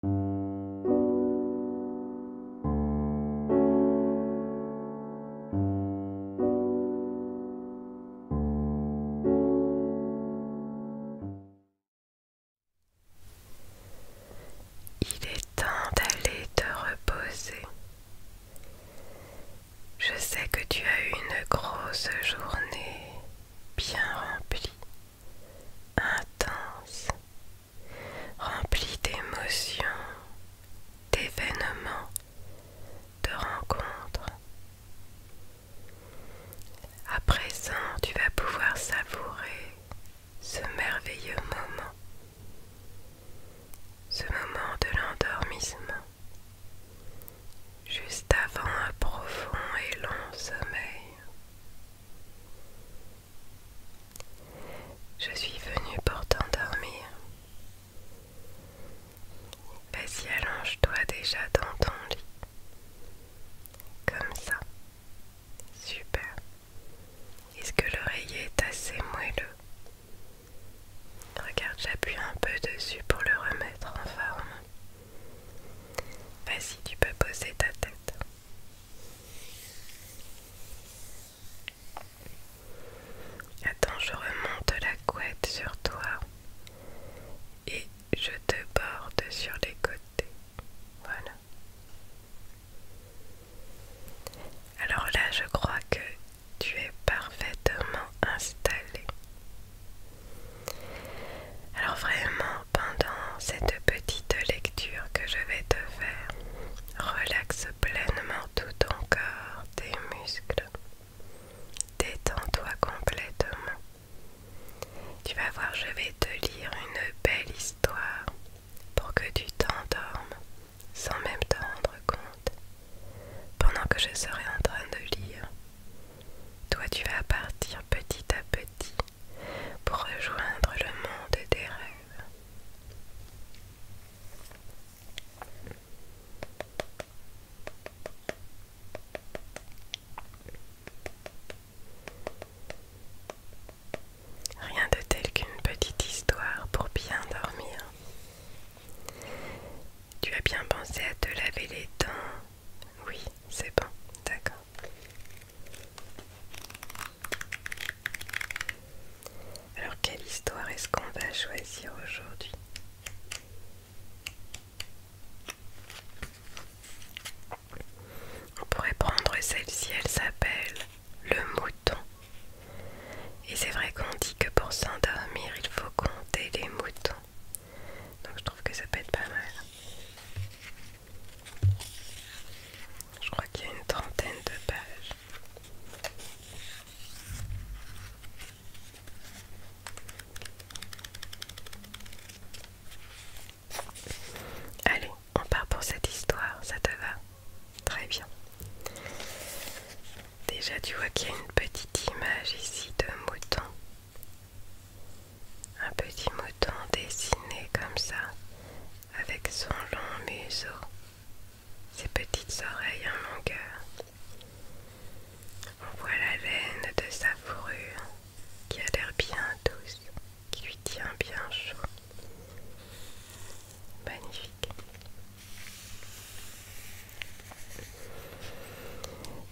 Il est temps d'aller te reposer. Je sais que tu as eu une grosse journée bien remplie, intense rempli d'émotions, d'événements, de rencontres. À présent, tu vas pouvoir savourer ce merveilleux moment, ce moment de l'endormissement, juste avant un profond et long sommeil. Je suis venue pour t'endormir. Vas-y, allonge-toi déjà dans ton lit. Comme ça. Super. Est-ce que l'oreiller est assez moelleux Regarde, j'appuie un peu dessus pour le remettre en forme. Vas-y, tu peux poser ta tête. Attends, je remonte la couette sur toi et je te borde sur les côtés. Voilà. Alors là, je crois que tu es parfaitement installé. Alors vraiment, pendant cette petite lecture que je vais te faire, relaxe pleinement tout ton corps, tes muscles. Détends-toi complètement. Tu vas voir, je vais te lire une belle histoire pour que tu t'endormes sans même t'en rendre compte. Pendant que je serai en train de lire, toi tu vas partir petit à petit pour rejoindre le monde des rêves. Rien de tel qu'une petite histoire pour bien dormir. Tu as bien pensé à te laver les dents Oui, c'est bon, d'accord. Alors quelle histoire est-ce qu'on va choisir aujourd'hui On pourrait prendre celle-ci, elle s'appelle Le Mouton. Et c'est vrai qu'on dit que pour s'endormir, il faut compter les moutons. Donc je trouve que ça peut être pas mal. Je crois qu'il y a une trentaine de pages. Allez, on part pour cette histoire, ça te va Très bien. Déjà, tu vois qu'il y a une petite image ici de mouton un petit mouton dessiné comme ça, avec son long museau, ses petites oreilles en longueur. On voit la laine de sa fourrure qui a l'air bien douce, qui lui tient bien chaud. Magnifique.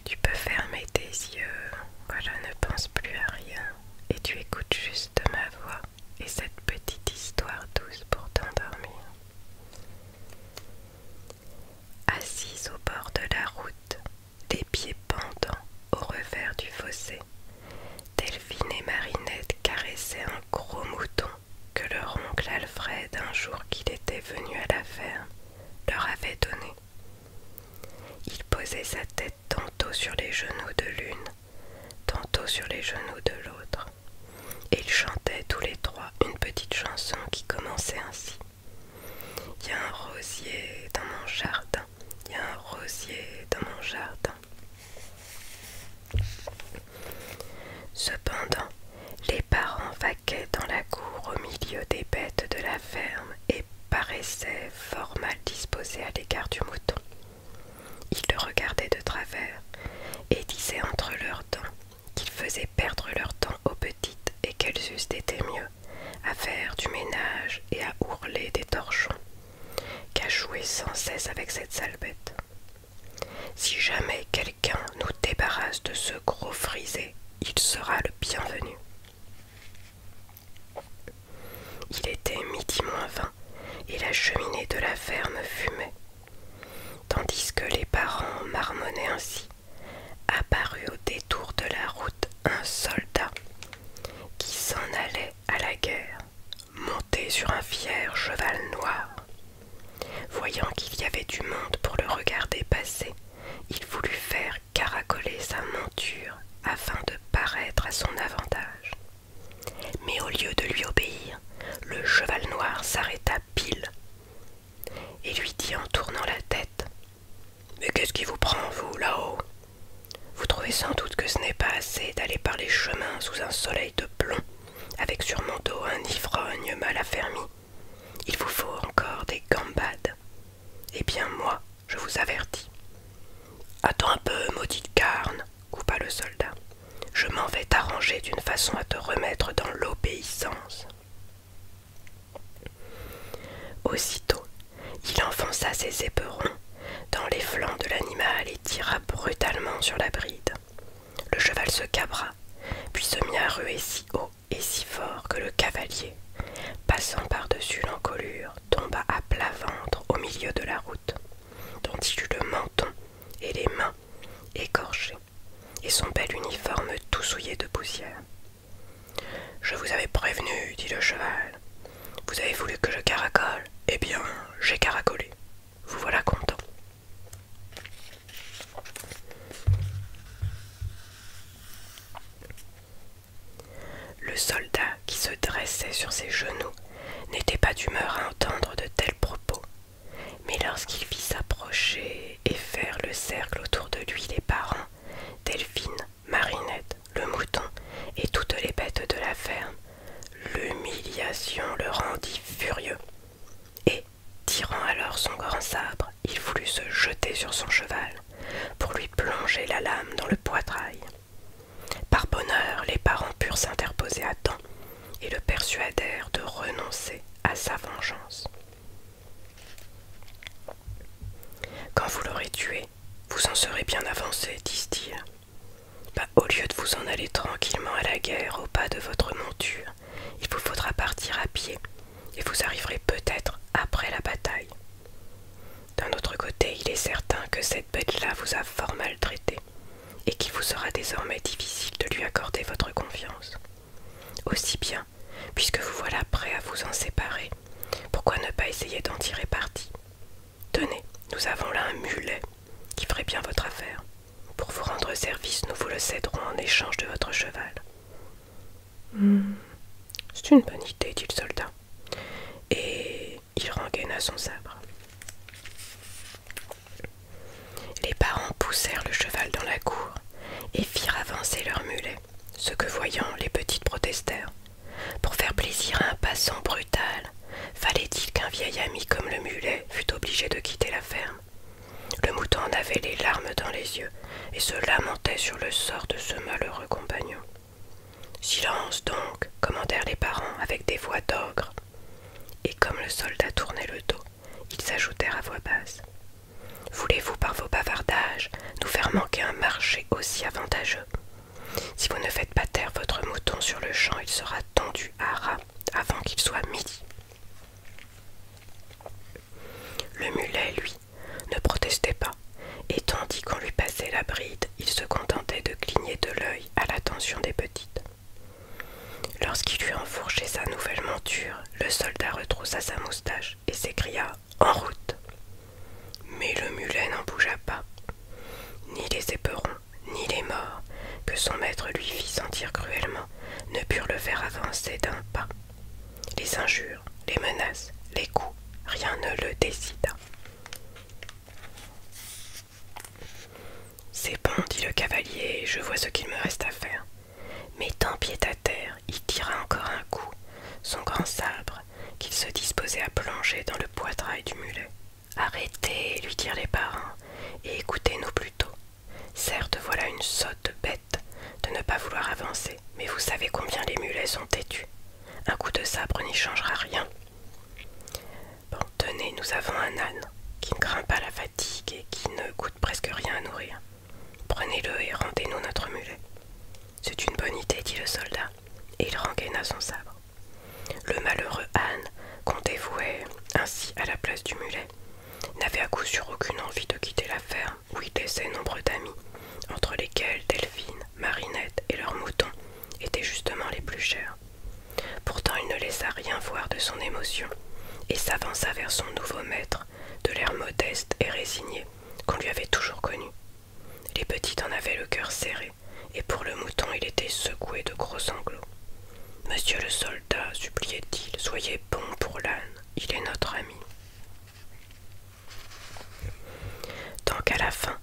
Tu peux fermer tes yeux, voilà, ne pense plus à rien et tu écoutes juste ma voix et cette petite histoire douce pour t'endormir. Assise au bord de la route, les pieds pendants au revers du fossé, Delphine et Marinette caressaient un gros mouton que leur oncle Alfred, un jour qu'il était venu à la ferme, leur avait donné. Il posait sa tête tantôt sur les genoux de l'une, tantôt sur les genoux de l'autre. Et ils chantaient tous les trois une petite chanson qui commençait ainsi. Il y a un rosier dans mon jardin, il y a un rosier dans mon jardin. Cependant, les parents vaquaient dans la cour au milieu des bêtes de la ferme et paraissaient fort mal disposés à l'égard du mouton. Ils le regardaient de travers et disaient entre leurs dents qu'ils faisaient perdre leur temps aux petites et qu'elles eussent été mieux à faire du ménage et à ourler des torchons qu'à jouer sans cesse avec cette sale bête. Si jamais quelqu'un nous débarrasse de ce gros frisé, il sera le bienvenu. Il était midi moins vingt et la cheminée de la ferme fumait. Tandis que les parents marmonnaient ainsi, apparut au détour de la route un soldat qui s'en allait à la guerre, monté sur un fier cheval noir. Voyant qu'il y avait du monde pour le regarder passer, il voulut faire caracoler sa monture afin de paraître à son avantage. Mais au lieu de lui obéir, le cheval noir s'arrêta pile et lui dit en tournant la tête Mais qu'est-ce qui vous prend, vous, là-haut Vous trouvez sans doute que ce n'est pas assez d'aller par les chemins sous un soleil de plomb, avec sur mon dos un ivrogne mal affermi. Il vous faut encore des gambades. Eh bien, moi, je vous avertis. Attends un peu, maudite carne, coupa le soldat. Je m'en vais t'arranger d'une façon à te remettre dans l'obéissance. Aussitôt, il enfonça ses éperons dans les flancs de l'animal et tira brutalement sur la bride. Le cheval se cabra, puis se mit à ruer si haut et si fort que le cavalier, passant par-dessus l'encolure, tomba à plat ventre au milieu de la route, dont il eut le menton et les mains écorchées, et son bel uniforme tout souillé de poussière. Je vous avais prévenu, dit le cheval. Vous avez voulu que je caracole Eh bien, j'ai caracolé. Vous voilà content. Le soldat, qui se dressait sur ses genoux, n'était pas d'humeur à entendre de tels propos, mais lorsqu'il vit s'approcher et faire le cercle autour de lui les parents, Delphine, Marinette, le mouton et toutes les bêtes de la ferme, l'humiliation le rendit furieux. Et, tirant alors son grand sabre, il voulut se jeter sur son cheval pour lui plonger la lame dans le poitrail. Par bonheur, les parents purent s'interposer à temps et le persuadèrent de renoncer à sa vengeance. Quand vous l'aurez tué, vous en serez bien avancé, disent-ils. Bah, au lieu de vous en aller tranquillement à la guerre au pas de votre monture, il vous faudra partir à pied et vous arriverez peut-être après la bataille. D'un autre côté, il est certain que cette bête-là vous a fort maltraité et qu'il vous sera désormais difficile de lui accorder votre confiance. Aussi bien, puisque vous voilà prêt à vous en séparer, pourquoi ne pas essayer d'en tirer parti Tenez, nous avons là un mulet qui ferait bien votre affaire. Pour vous rendre service, nous vous le céderons en échange de votre cheval. Hmm. C'est une bonne idée, dit le soldat et il rengaina son sabre. Les parents poussèrent le cheval dans la cour et firent avancer leur mulet, ce que voyant les petites protestèrent. Pour faire plaisir à un passant brutal, fallait-il qu'un vieil ami comme le mulet fût obligé de quitter la ferme Le mouton en avait les larmes dans les yeux et se lamentait sur le sort de ce malheureux compagnon. Silence donc, commandèrent les parents avec des voix d'ogre. Et comme le soldat tournait le dos, ils ajoutèrent à voix basse. Voulez-vous par vos bavardages nous faire manquer un marché aussi avantageux Si vous ne faites pas taire votre mouton sur le champ, il sera tendu à ras avant qu'il soit midi. Le mulet, lui, ne protestait pas, et tandis qu'on lui passait la bride, il se contentait de cligner de l'œil à l'attention des petites. Lorsqu'il eut enfourché sa nouvelle monture, le soldat retroussa sa moustache et s'écria En route Mais le mulet n'en bougea pas. Ni les éperons, ni les morts, que son maître lui fit sentir cruellement, ne purent le faire avancer d'un pas. Les injures, les menaces, les coups, rien ne le décida. C'est bon, dit le cavalier, je vois ce qu'il me reste à faire. Mettant pied à terre, il tira encore un coup, son grand sabre, qu'il se disposait à plonger dans le poitrail du mulet. Arrêtez, lui dirent les parents, et écoutez-nous plutôt. Certes, voilà une sotte bête de ne pas vouloir avancer, mais vous savez combien les mulets sont têtus. Un coup de sabre n'y changera rien. Bon, tenez, nous avons un âne qui ne craint pas la fatigue et qui ne coûte presque rien à nourrir. Prenez-le et rendez-nous notre mulet. C'est une bonne idée, dit le soldat, et il rengaina son sabre. Le malheureux âne, qu'on dévouait ainsi à la place du mulet, n'avait à coup sûr aucune envie de quitter la ferme où il laissait nombre d'amis, entre lesquels Delphine, Marinette et leurs moutons, étaient justement les plus chers. Pourtant il ne laissa rien voir de son émotion, et s'avança vers son nouveau maître, de l'air modeste et résigné qu'on lui avait toujours connu. Les petits en avaient le cœur serré, et pour le mouton il était secoué de gros sanglots. Monsieur le soldat, suppliait-il, soyez bon pour l'âne, il est notre ami. Tant qu'à la fin,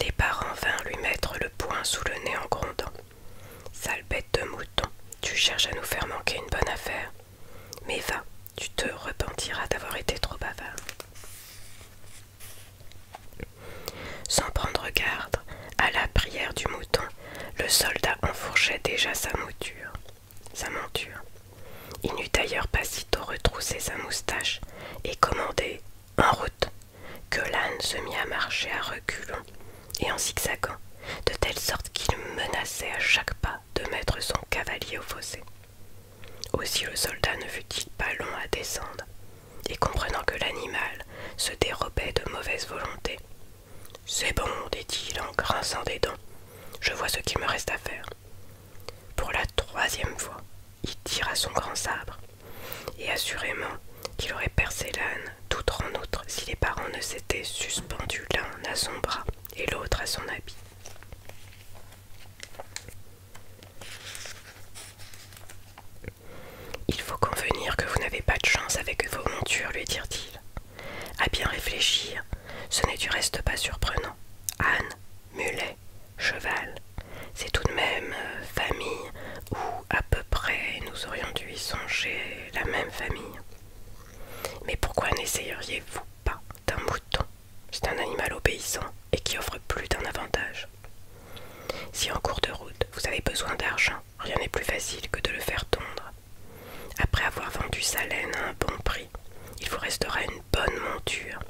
les parents vinrent lui mettre le poing sous le nez en grondant. Sale bête de mouton, tu cherches à nous faire manquer une bonne affaire. Mais va, tu te repentiras d'avoir été trop bavard. Sans prendre garde, à la prière du mouton, le soldat enfourchait déjà sa mouture, sa monture. Il n'eut d'ailleurs pas sitôt retroussé sa moustache et commandé En route que l'âne se mit à marcher à reculons et en zigzagant, de telle sorte qu'il menaçait à chaque pas de mettre son cavalier au fossé. Aussi le soldat ne fut-il pas long à descendre, et comprenant que l'animal se dérobait de mauvaise volonté, c'est bon, dit-il en grinçant des dents, je vois ce qu'il me reste à faire. Pour la troisième fois, il tira son grand sabre et assurément qu'il aurait percé l'âne, d'outre en outre, si les parents ne s'étaient suspendus l'un à son bras et l'autre à son habit. Il faut convenir que vous n'avez pas de chance avec vos montures, lui dirent-ils. À bien réfléchir, ce n'est du reste pas surprenant. Anne, mulet cheval. C'est tout de même euh, famille, où à peu près nous aurions dû y songer la même famille. Mais pourquoi n'essayeriez-vous pas d'un mouton C'est un animal obéissant et qui offre plus d'un avantage. Si en cours de route vous avez besoin d'argent, rien n'est plus facile que de le faire tondre. Après avoir vendu sa laine à un bon prix, il vous restera une bonne monture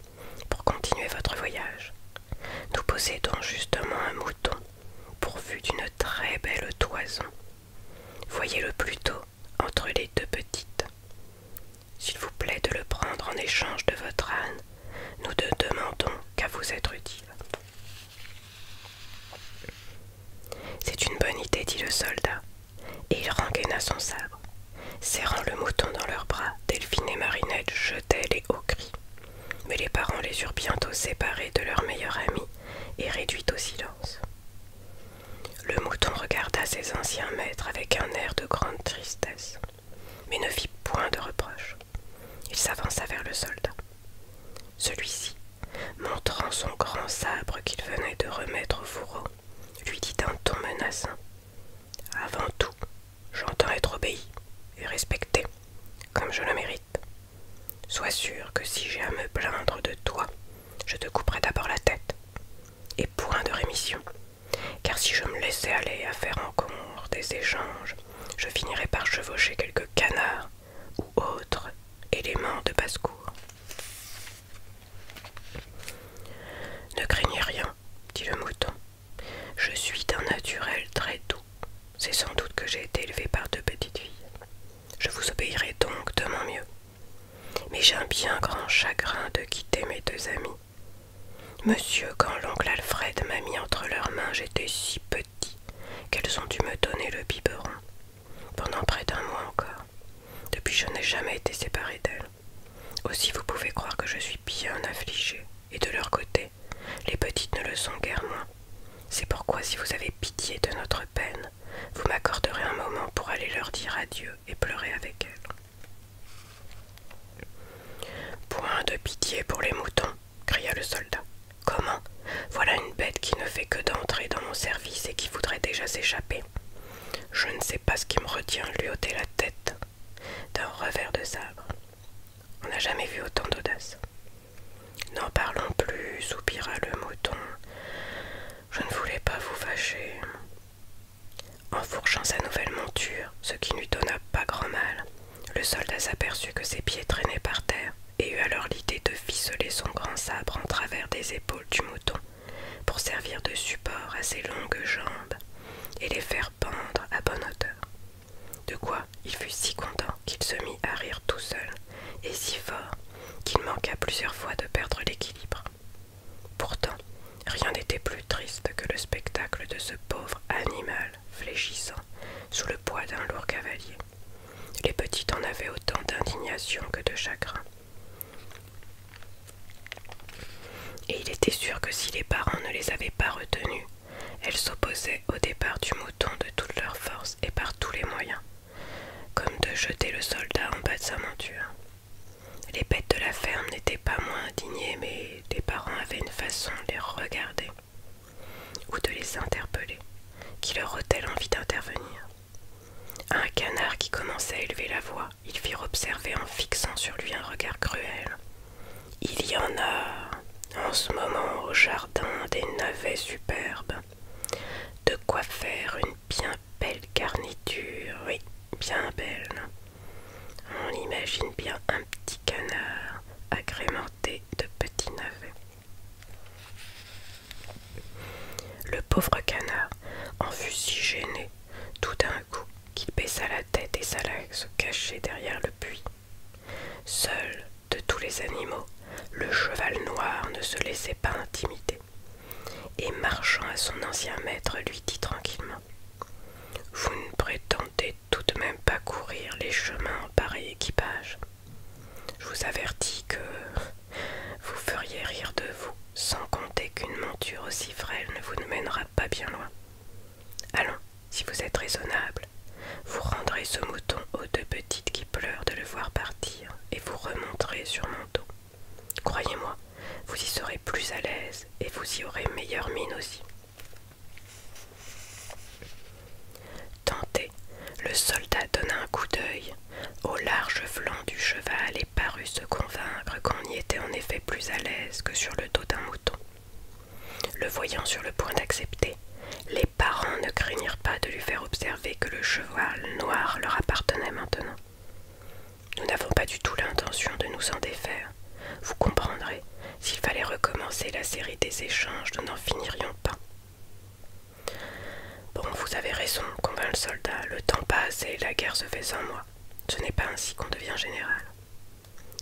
pour continuer votre voyage. Nous possédons justement un mouton pourvu d'une très belle toison. Voyez-le plutôt entre les deux petites. S'il vous plaît de le prendre en échange de votre âne, nous ne demandons qu'à vous être utile. C'est une bonne idée, dit le soldat, et il rengaina son sabre. Serrant le mouton dans leurs bras, Delphine et Marinette jetaient les hauts cris mais les parents les eurent bientôt séparés de leur meilleur ami et réduits au silence. Le mouton regarda ses anciens maîtres avec un air de grande tristesse, mais ne fit point de reproche. Il s'avança vers le soldat. Celui-ci, montrant son grand sabre qu'il venait de remettre au fourreau, lui dit d'un ton menaçant Avant tout, J'entends être obéi et respecté, comme je le mérite. Sois sûr que si j'ai à me plaindre de toi, je te couperai d'abord la tête. Et point de rémission. Car si je me laissais aller à faire encore des échanges, je finirais par chevaucher quelques canards ou autres éléments de basse-cour. Ne craignez rien, dit le mouton. Je suis d'un naturel très doux. C'est sans doute que j'ai été élevé par deux petites filles. Je vous obéirai donc de mon mieux. Mais j'ai un bien grand chagrin de quitter mes deux amis. Monsieur, quand l'oncle Alfred m'a mis entre leurs mains, j'étais si petit qu'elles ont dû me donner le biberon. Pendant près d'un mois encore. Depuis, je n'ai jamais été séparé d'elles. Aussi, vous pouvez croire que je suis bien affligée, et de leur côté, les petites ne le sont guère moins. C'est pourquoi, si vous avez pitié de notre peine, vous m'accorderez un moment pour aller leur dire adieu et pleurer avec elles. Point de pitié pour les moutons, cria le soldat. Comment Voilà une bête qui ne fait que d'entrer dans mon service et qui voudrait déjà s'échapper. Je ne sais pas ce qui me retient lui ôter la tête d'un revers de sabre. On n'a jamais vu autant d'audace. N'en parlons plus, soupira le mouton. Je ne voulais pas vous fâcher. En fourchant sa nouvelle monture, ce qui lui donna pas grand mal, le soldat s'aperçut que ses pieds traînaient par terre et eut alors l'idée de ficeler son grand sabre en travers des épaules du mouton pour servir de support à ses longues jambes et les faire pendre à bonne hauteur. De quoi il fut si content qu'il se mit à rire tout seul, et si fort qu'il manqua plusieurs fois de perdre l'équilibre. Pourtant, rien n'était plus triste que le spectacle de ce pauvre animal fléchissant sous le poids d'un lourd cavalier. Les petits en avaient autant d'indignation que de chagrin. Et il était sûr que si les parents ne les avaient pas retenus, elles s'opposaient au départ du mouton de toutes leurs forces et par tous les moyens, comme de jeter le soldat en bas de sa monture. Les bêtes de la ferme n'étaient pas moins indignées, mais des parents avaient une façon de les regarder ou de les interpeller, qui leur ôtait l'envie d'intervenir. un canard qui commençait à élever la voix, ils firent observer en fixant sur lui un regard cruel. Il y en a en ce moment au jardin des navets superbes. De quoi faire une bien belle garniture, oui, bien belle. On imagine bien un petit canard agrémenté de petits navets. Le pauvre canard en fut si gêné tout d'un coup qu'il baissa la tête et s'alla se cacher derrière le puits. Seul de tous les animaux, le cheval noir ne se laissait pas intimider, et marchant à son ancien maître, lui dit tranquillement Vous ne prétendez tout de même pas courir les chemins en pareil équipage. Je vous avertis que vous feriez rire de vous, sans compter qu'une monture aussi frêle ne vous mènera pas bien loin. Allons, si vous êtes raisonnable, vous rendrez ce mouton aux deux petites qui pleurent de le voir partir et vous remonterez sur mon dos. Croyez-moi, vous y serez plus à l'aise et vous y aurez meilleure mine aussi. Tenté, le soldat donna un coup d'œil au large flanc du cheval et parut se convaincre qu'on y était en effet plus à l'aise que sur le dos d'un mouton. Le voyant sur le point d'accepter, les parents ne craignirent pas de lui faire observer que le cheval noir leur appartenait maintenant. Nous n'avons pas du tout l'intention de nous en défaire. Vous comprendrez, s'il fallait recommencer la série des échanges, nous n'en finirions pas. Bon, vous avez raison, convint le soldat, le temps passe et la guerre se fait sans moi. Ce n'est pas ainsi qu'on devient général.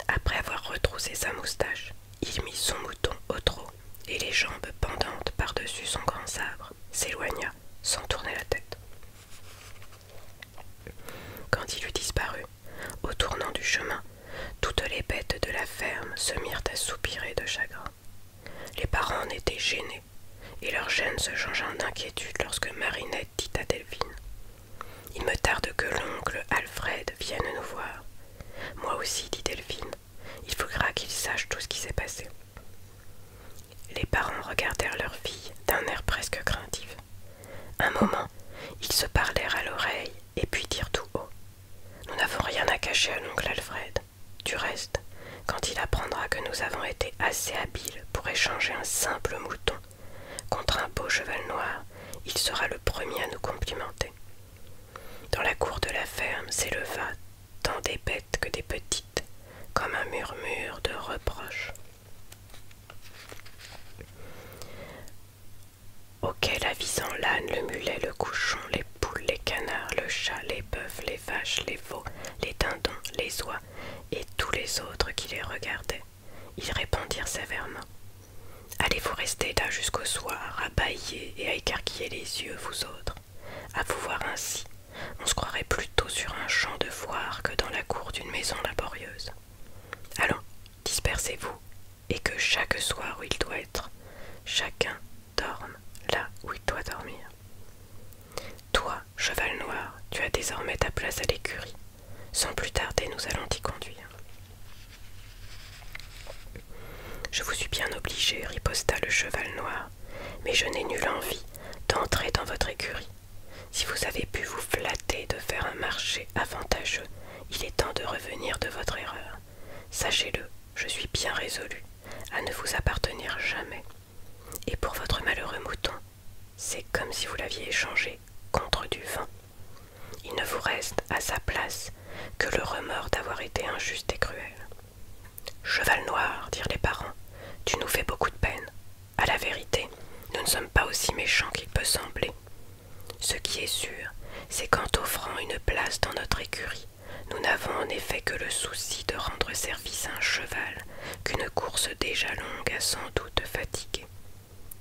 Après avoir retroussé sa moustache, il mit son mouton au trot et les jambes pendantes par-dessus son grand sabre s'éloigna sans tourner la tête. Quand il eut disparu, au tournant du chemin, toutes les bêtes de la ferme se mirent à soupirer de chagrin. Les parents en étaient gênés, et leur gêne se changea d'inquiétude lorsque Marinette dit à Delphine il me tarde que l'oncle Alfred vienne nous voir. Moi aussi, dit Delphine. Il faudra qu'il sache tout ce qui s'est passé. Les parents regardèrent leur fille d'un air presque craintif. Un moment, ils se parlèrent à l'oreille et puis dirent tout haut. Nous n'avons rien à cacher à l'oncle Alfred. Du reste, quand il apprendra que nous avons été assez habiles pour échanger un simple mouton Contre un beau cheval noir, il sera le premier à nous complimenter. Dans la cour de la ferme s'éleva tant des bêtes que des petites, comme un murmure de reproches. Auquel avisant l'âne, le mulet, le couchon, les poules, les canards, le chat, les bœufs, les vaches, les veaux, les dindons, les oies et tous les autres qui les regardaient. Ils répondirent sévèrement. Allez-vous rester là jusqu'au soir, à bâiller et à écarquiller les yeux, vous autres À vous voir ainsi, on se croirait plutôt sur un champ de foire que dans la cour d'une maison laborieuse. Allons, dispersez-vous, et que chaque soir où il doit être, chacun dorme là où il doit dormir. Toi, cheval noir, tu as désormais ta place à l'écurie. Sans plus tarder, nous allons t'y conduire. Je vous suis bien obligé, riposta le cheval noir, mais je n'ai nulle envie d'entrer dans votre écurie. Si vous avez pu vous flatter de faire un marché avantageux, il est temps de revenir de votre erreur. Sachez-le, je suis bien résolu à ne vous appartenir jamais. Et pour votre malheureux mouton, c'est comme si vous l'aviez échangé contre du vin. Il ne vous reste à sa place que le remords d'avoir été injuste et cruel. Cheval noir, dirent les parents, tu nous fais beaucoup de peine. À la vérité, nous ne sommes pas aussi méchants qu'il peut sembler. Ce qui est sûr, c'est qu'en t'offrant une place dans notre écurie, nous n'avons en effet que le souci de rendre service à un cheval qu'une course déjà longue a sans doute fatigué.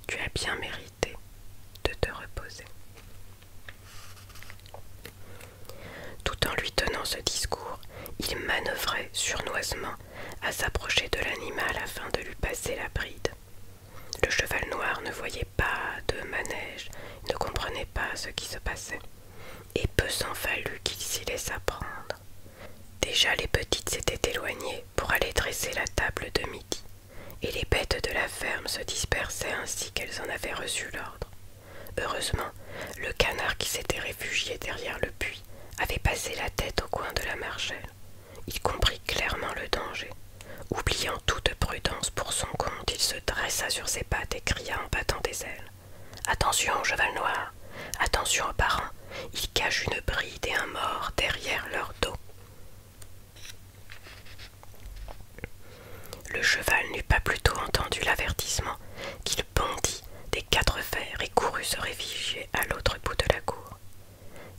Tu as bien mérité de te reposer. Tout en lui tenant ce discours, il manœuvrait sournoisement à s'approcher de l'animal afin de lui passer la bride. Le cheval noir ne voyait pas de manège, ne comprenait pas ce qui se passait, et peu s'en fallut qu'il s'y laissât prendre. Déjà les petites s'étaient éloignées pour aller dresser la table de midi et les bêtes de la ferme se dispersaient ainsi qu'elles en avaient reçu l'ordre. Heureusement, le canard qui s'était réfugié derrière le puits avait passé la tête au coin de la marchelle. Il comprit clairement le danger. Oubliant toute prudence pour son compte, il se dressa sur ses pattes et cria en battant des ailes. Attention, cheval noir. Attention aux parents. il cachent une bride et un mort derrière leur dos. Le cheval n'eut pas plus tôt entendu l'avertissement qu'il bondit des quatre fers et courut se réfugier à l'autre bout de la cour.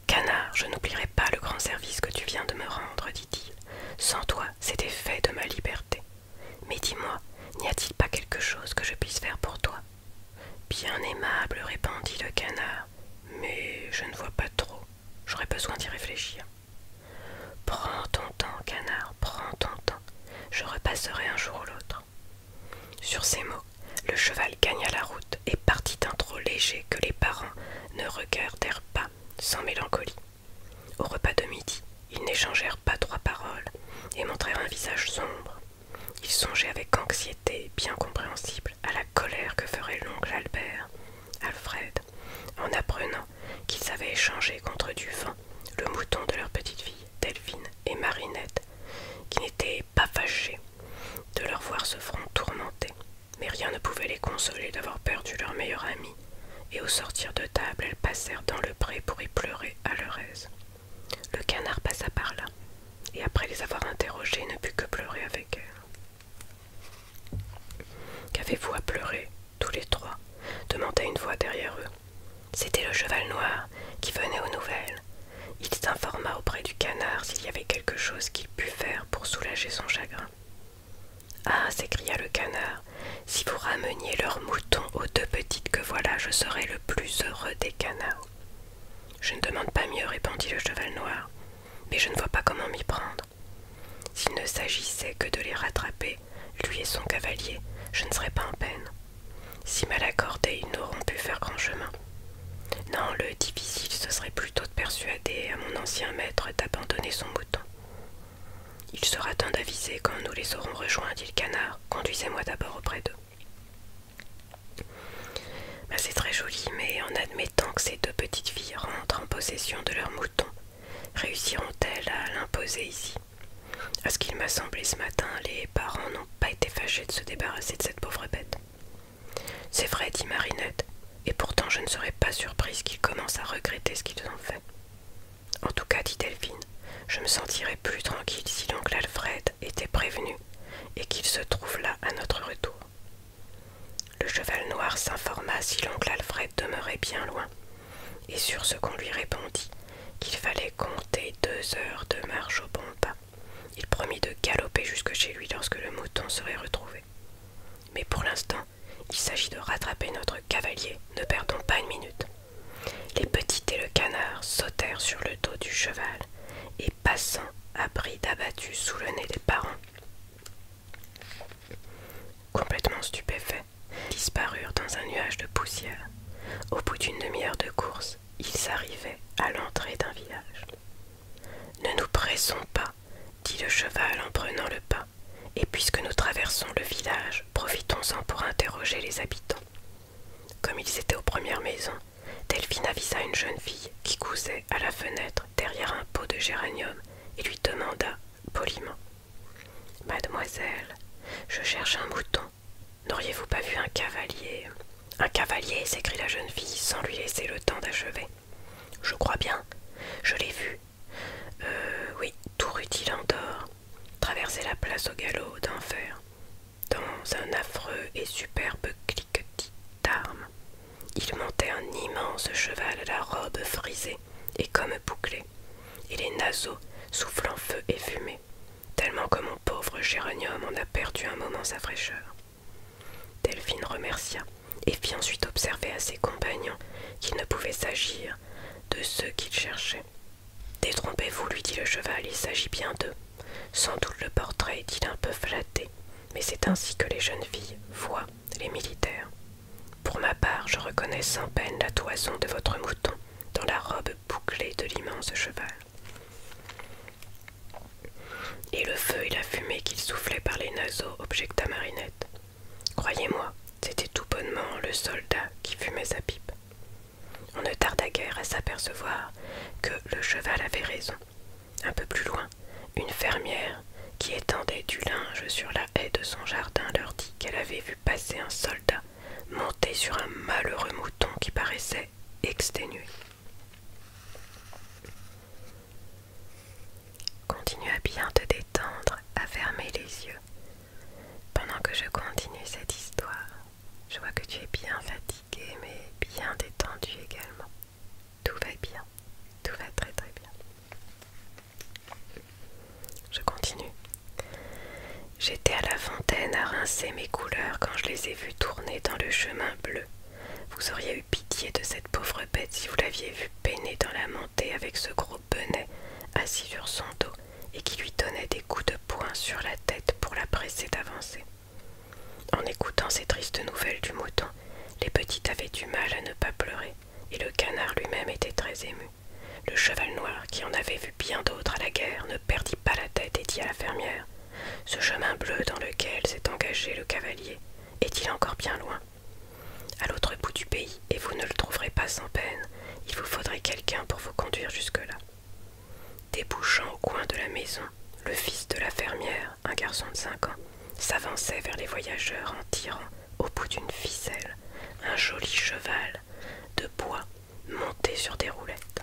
Canard, je n'oublierai pas le grand service que tu viens de me rendre, dit-il. Sans toi, c'était fait de ma liberté. Mais dis-moi, n'y a-t-il pas quelque chose que je puisse faire pour toi Bien aimable, répondit le canard, mais je ne vois pas trop. J'aurais besoin d'y réfléchir. Prends ton temps, canard, prends ton temps. Je repasserai un jour ou l'autre. Sur ces mots, le cheval gagna la route et partit d'un trot léger que les parents ne regardèrent pas sans mélancolie. Au repas de midi, ils n'échangèrent pas trois paroles et montrèrent un visage sombre. Ils songeaient avec anxiété bien compréhensible à la colère que ferait l'oncle Albert Alfred, en apprenant qu'ils avaient échangé contre du vin le mouton de leur petite fille, Delphine, et Marinette, qui n'étaient pas fâchées de leur voir ce front tourmenté, mais rien ne pouvait les consoler d'avoir perdu leur meilleur ami, et au sortir de table, elles passèrent dans le pré pour y pleurer à leur aise. Le canard passa par là, et après les avoir interrogées, ne put que pleurer avec elle. Qu'avez-vous à pleurer Tous les trois demanda une voix derrière eux. C'était le cheval noir qui venait aux nouvelles. Il s'informa auprès du canard s'il y avait quelque chose qu'il pût faire pour soulager son chagrin. Ah s'écria le canard, si vous rameniez leurs moutons aux deux petites que voilà, je serais le plus heureux des canards. Je ne demande pas mieux, répondit le cheval noir, mais je ne vois pas comment m'y prendre. S'il ne s'agissait que de les rattraper, lui et son cavalier, je ne serais pas en peine. Si mal accordés, ils n'auront pu faire grand chemin. Non, le difficile, ce serait plutôt de persuader à mon ancien maître d'abandonner son bouton. Il sera temps d'aviser quand nous les aurons rejoints, dit le canard. Conduisez-moi d'abord auprès d'eux. Bah, c'est très joli, mais en admettant tant que ces deux petites filles rentrent en possession de leurs moutons, réussiront-elles à l'imposer ici À ce qu'il m'a semblé ce matin, les parents n'ont pas été fâchés de se débarrasser de cette pauvre bête. C'est vrai, dit Marinette, et pourtant je ne serais pas surprise qu'ils commencent à regretter ce qu'ils ont fait. En tout cas, dit Delphine, je me sentirais plus tranquille si l'oncle Alfred était prévenu et qu'il se trouve là à notre retour. Le cheval noir s'informa si l'oncle Alfred demeurait bien loin, et sur ce qu'on lui répondit qu'il fallait compter deux heures de marche au bon pas. Il promit de galoper jusque chez lui lorsque le mouton serait retrouvé. Mais pour l'instant, il s'agit de rattraper notre cavalier, ne perdons pas une minute. Les petits et le canard sautèrent sur le dos du cheval et passant à bride abattue sous le nez des parents. Complètement stupéfaits, disparurent dans un nuage de poussière. Au bout d'une demi-heure de course, ils arrivaient à l'entrée d'un village. Ne nous pressons pas, dit le cheval en prenant le pas, et puisque nous traversons le village, profitons-en pour interroger les habitants. Comme ils étaient aux premières maisons, Delphine avisa une jeune fille qui cousait à la fenêtre derrière un pot de géranium et lui demanda poliment Mademoiselle, je cherche un mouton. N'auriez-vous pas vu un cavalier Un cavalier s'écrie la jeune fille sans lui laisser le temps d'achever. Je crois bien, je l'ai vu. Euh, oui, tout rutilant d'or, traverser la place au galop d'enfer, dans un affreux et superbe cliquetis d'armes. Il montait un immense cheval à la robe frisée et comme bouclée, et les naseaux soufflant feu et fumée, tellement que mon pauvre géranium en a perdu un moment sa fraîcheur. Delphine remercia et fit ensuite observer à ses compagnons qu'il ne pouvait s'agir de ceux qu'il cherchait. Détrompez-vous, lui dit le cheval, il s'agit bien d'eux. Sans doute le portrait est-il un peu flatté, mais c'est ainsi que les jeunes filles voient les militaires. Pour ma part, je reconnais sans peine la toison de votre mouton dans la robe bouclée de l'immense cheval. Et le feu et la fumée qu'il soufflait par les naseaux, objecta Marinette. Croyez-moi, c'était tout bonnement le soldat qui fumait sa pipe. On ne tarda guère à s'apercevoir que le cheval avait raison, un peu plus loin, une fermière qui étendait du linge sur la haie de son jardin leur dit qu'elle avait vu passer un soldat monté sur un malheureux mouton qui paraissait exténué. Continue à bien te détendre, à fermer les yeux. Pendant que je continue cette histoire, je vois que tu es bien fatigué mais bien détendu également. Tout va bien, tout va très très bien. Je continue. J'étais à la fontaine à rincer mes couleurs quand je les ai vues tourner dans le chemin bleu. Vous auriez eu pitié de cette pauvre bête si vous l'aviez vue peiner dans la montée avec ce gros bonnet assis sur son dos et qui lui donnait des coups de poing sur la tête pour la presser d'avancer. En écoutant ces tristes nouvelles du mouton, les petites avaient du mal à ne pas pleurer, et le canard lui-même était très ému. Le cheval noir, qui en avait vu bien d'autres à la guerre, ne perdit pas la tête et dit à la fermière Ce chemin bleu dans lequel s'est engagé le cavalier, est-il encore bien loin À l'autre bout du pays, et vous ne le trouverez pas sans peine, il vous faudrait quelqu'un pour vous conduire jusque-là. Débouchant au coin de la maison, le fils de la fermière un garçon de 5 ans, s'avançait vers les voyageurs en tirant, au bout d'une ficelle, un joli cheval de bois monté sur des roulettes.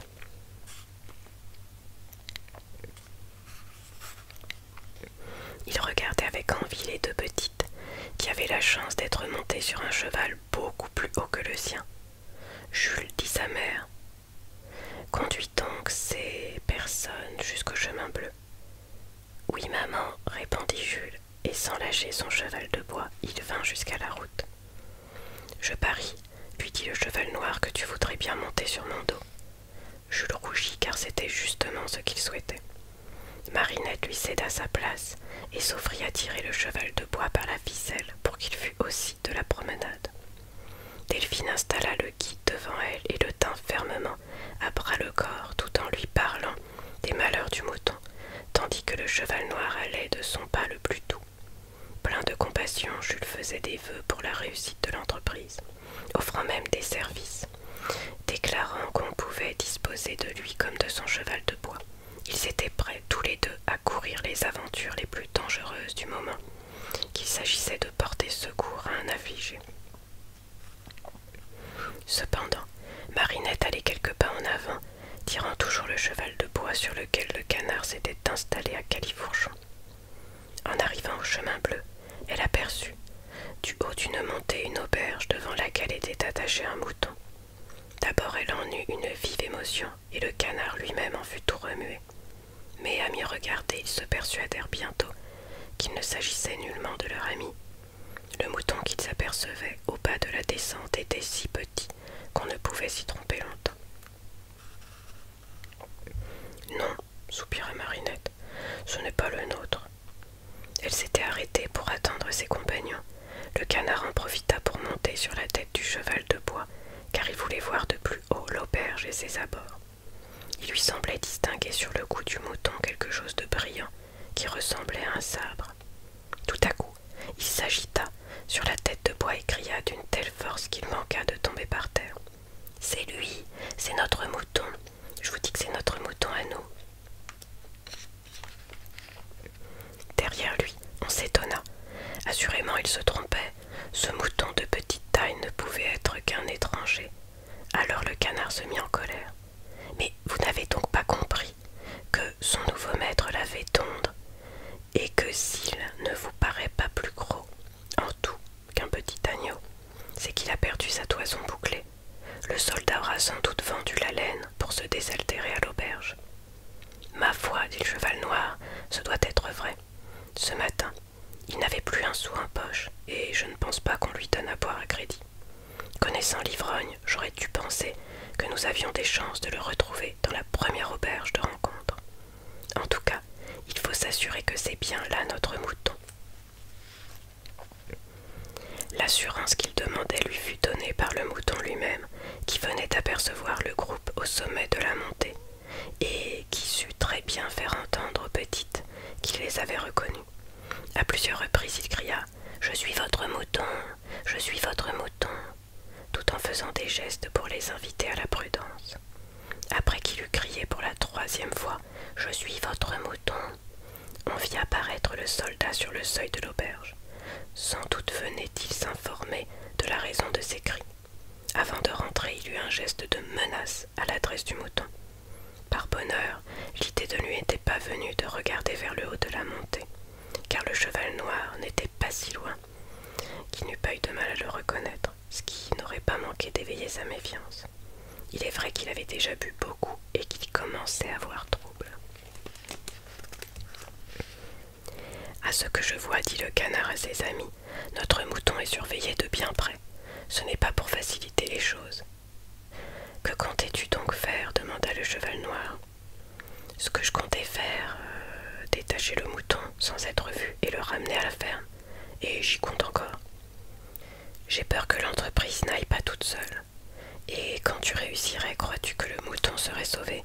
Il regardait avec envie les deux petites qui avaient la chance d'être montées sur un cheval beaucoup plus haut que le sien. Jules dit à sa mère Conduis donc ces personnes jusqu'au chemin bleu. Oui, maman, répondit Jules, et sans lâcher son cheval de bois, il vint jusqu'à la route. Je parie, lui dit le cheval noir, que tu voudrais bien monter sur mon dos. Jules rougit car c'était justement ce qu'il souhaitait. Marinette lui céda sa place et s'offrit à tirer le cheval de bois par la ficelle pour qu'il fût aussi de la promenade. Delphine installa le qui, devant elle, et le tint fermement, à bras le corps, tout en lui parlant des malheurs du mouton, tandis que le cheval noir allait de son pas le plus doux. Plein de compassion, Jules faisait des vœux pour la réussite de l'entreprise, offrant même des services, déclarant qu'on pouvait disposer de lui comme de son cheval de bois. Ils étaient prêts tous les deux à courir les aventures les plus dangereuses du moment, qu'il s'agissait de porter secours à un affligé. Cependant, Marinette allait quelques pas en avant, tirant toujours le cheval de bois sur lequel le canard s'était installé à Califourchon. En arrivant au chemin bleu, elle aperçut, du haut d'une montée, une auberge devant laquelle était attaché un mouton. D'abord elle en eut une vive émotion, et le canard lui-même en fut tout remué. Mais à m'y regarder, ils se persuadèrent bientôt qu'il ne s'agissait nullement de leur ami. Le mouton qu'ils apercevaient au bas de la descente était si petit qu'on ne pouvait s'y tromper longtemps. Non, soupira Marinette, ce n'est pas le nôtre. Elle s'était arrêtée pour attendre ses compagnons. Le canard en profita pour monter sur la tête du cheval de bois, car il voulait voir de plus haut l'auberge et ses abords. Il lui semblait distinguer sur le cou du mouton quelque chose de brillant qui ressemblait à un sabre. Tout à coup, il s'agita sur la tête de bois et cria d'une telle force qu'il manqua de tomber par terre. C'est lui, c'est notre mouton. Je vous dis que c'est notre mouton à nous. Derrière lui, on s'étonna. Assurément, il se trompait. Ce mouton de petite taille ne pouvait être qu'un étranger, alors le canard se mit en colère. Mais vous n'avez donc pas compris que son nouveau maître l'avait tondre, et que s'il ne vous paraît pas plus gros en tout qu'un petit agneau, c'est qu'il a perdu sa toison bouclée. Le soldat aura sans doute vendu la laine pour se désaltérer à l'auberge. Ma foi, dit le cheval noir, ce doit être vrai. Ce matin, il n'avait plus un sou en poche, et je ne pense pas qu'on lui donne à boire à crédit. Connaissant l'ivrogne, j'aurais dû penser que nous avions des chances de le retrouver dans la première auberge de rencontre. En tout cas, il faut s'assurer que c'est bien là notre mouton. L'assurance qu'il demandait lui fut donnée par le mouton lui-même, qui venait apercevoir le groupe au sommet de la montée, et qui sut très bien faire entendre aux petites qu'il les avait reconnues. À plusieurs reprises, il cria Je suis votre mouton, je suis votre mouton, tout en faisant des gestes pour les inviter à la prudence. Après qu'il eut crié pour la troisième fois Je suis votre mouton, on vit apparaître le soldat sur le seuil de l'auberge. Sans doute venait-il s'informer de la raison de ses cris. Avant de rentrer, il eut un geste de menace à l'adresse du mouton. Par bonheur, l'idée de lui n'était pas venue de regarder vers le haut de la montée, car le cheval noir n'était pas si loin, qu'il n'eût pas eu de mal à le reconnaître, ce qui n'aurait pas manqué d'éveiller sa méfiance. Il est vrai qu'il avait déjà bu beaucoup et qu'il commençait à avoir trouble. À ce que je vois, dit le canard à ses amis, notre mouton est surveillé de bien près. Ce n'est pas pour faciliter les choses, que comptais-tu donc faire demanda le cheval noir. Ce que je comptais faire, euh, détacher le mouton sans être vu et le ramener à la ferme. Et j'y compte encore. J'ai peur que l'entreprise n'aille pas toute seule. Et quand tu réussirais, crois-tu que le mouton serait sauvé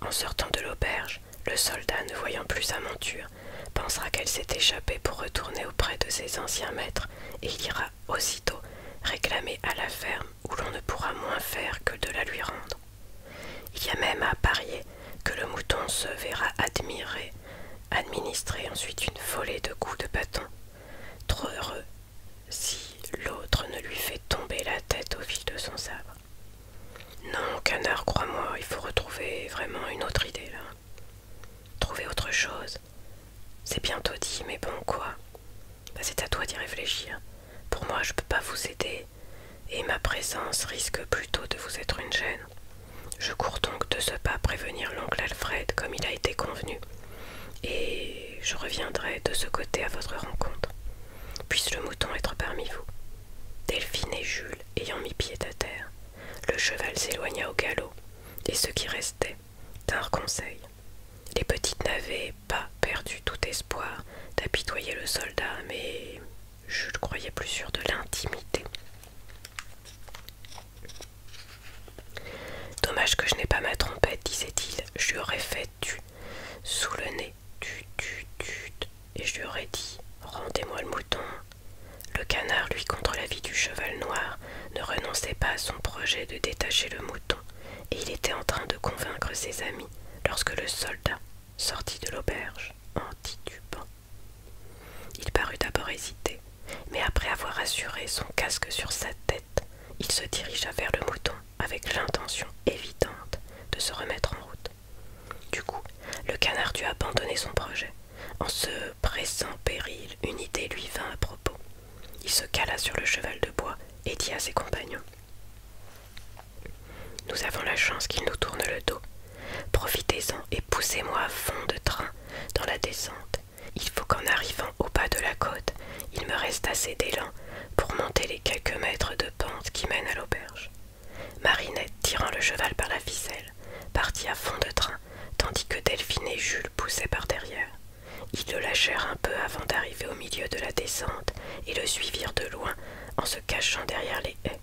En sortant de l'auberge, le soldat, ne voyant plus sa monture, pensera qu'elle s'est échappée pour retourner auprès de ses anciens maîtres et il ira aussitôt réclamer à la ferme où l'on ne pourra moins faire que de la lui rendre. Il y a même à parier que le mouton se verra admirer, administrer ensuite une volée de coups de bâton, trop heureux si l'autre ne lui fait tomber la tête au fil de son sabre. Non, canard, crois-moi, il faut retrouver vraiment une autre idée là. Trouver autre chose. C'est bientôt dit, mais bon, quoi bah, C'est à toi d'y réfléchir. Pour moi, je peux pas vous aider, et ma présence risque plutôt de vous être une gêne. Je cours donc de ce pas prévenir l'oncle Alfred, comme il a été convenu, et je reviendrai de ce côté à votre rencontre. Puisse le mouton être parmi vous. Delphine et Jules ayant mis pied à terre, le cheval s'éloigna au galop, et ceux qui restaient d'un Les petites n'avaient pas perdu tout espoir d'apitoyer le soldat, mais je le croyais plus sûr de l'intimité. Dommage que je n'ai pas ma trompette, disait-il. Je lui aurais fait tu sous le nez, tu, tu, tu, et je lui aurais dit Rendez-moi le mouton, le canard, lui, contre l'avis du cheval noir, ne renonçait pas à son projet de détacher le mouton, et il était en train de convaincre ses amis lorsque le soldat sortit de l'auberge en titubant. Il parut d'abord hésiter, mais après avoir assuré son casque sur sa tête, il se dirigea vers le mouton avec l'intention évidente de se remettre en route. Du coup, le canard dut abandonner son projet. En ce pressant péril, une idée lui vint à propos. Il se cala sur le cheval de bois et dit à ses compagnons Nous avons la chance qu'il nous tourne le dos. Profitez-en et poussez-moi à fond de train dans la descente. Il faut qu'en arrivant au bas de la côte, il me reste assez d'élan pour monter les quelques mètres de pente qui mènent à l'auberge. Marinette, tirant le cheval par la ficelle, partit à fond de train, tandis que Delphine et Jules poussaient par derrière. Ils le lâchèrent un peu avant d'arriver au milieu de la descente et le suivirent de loin en se cachant derrière les haies.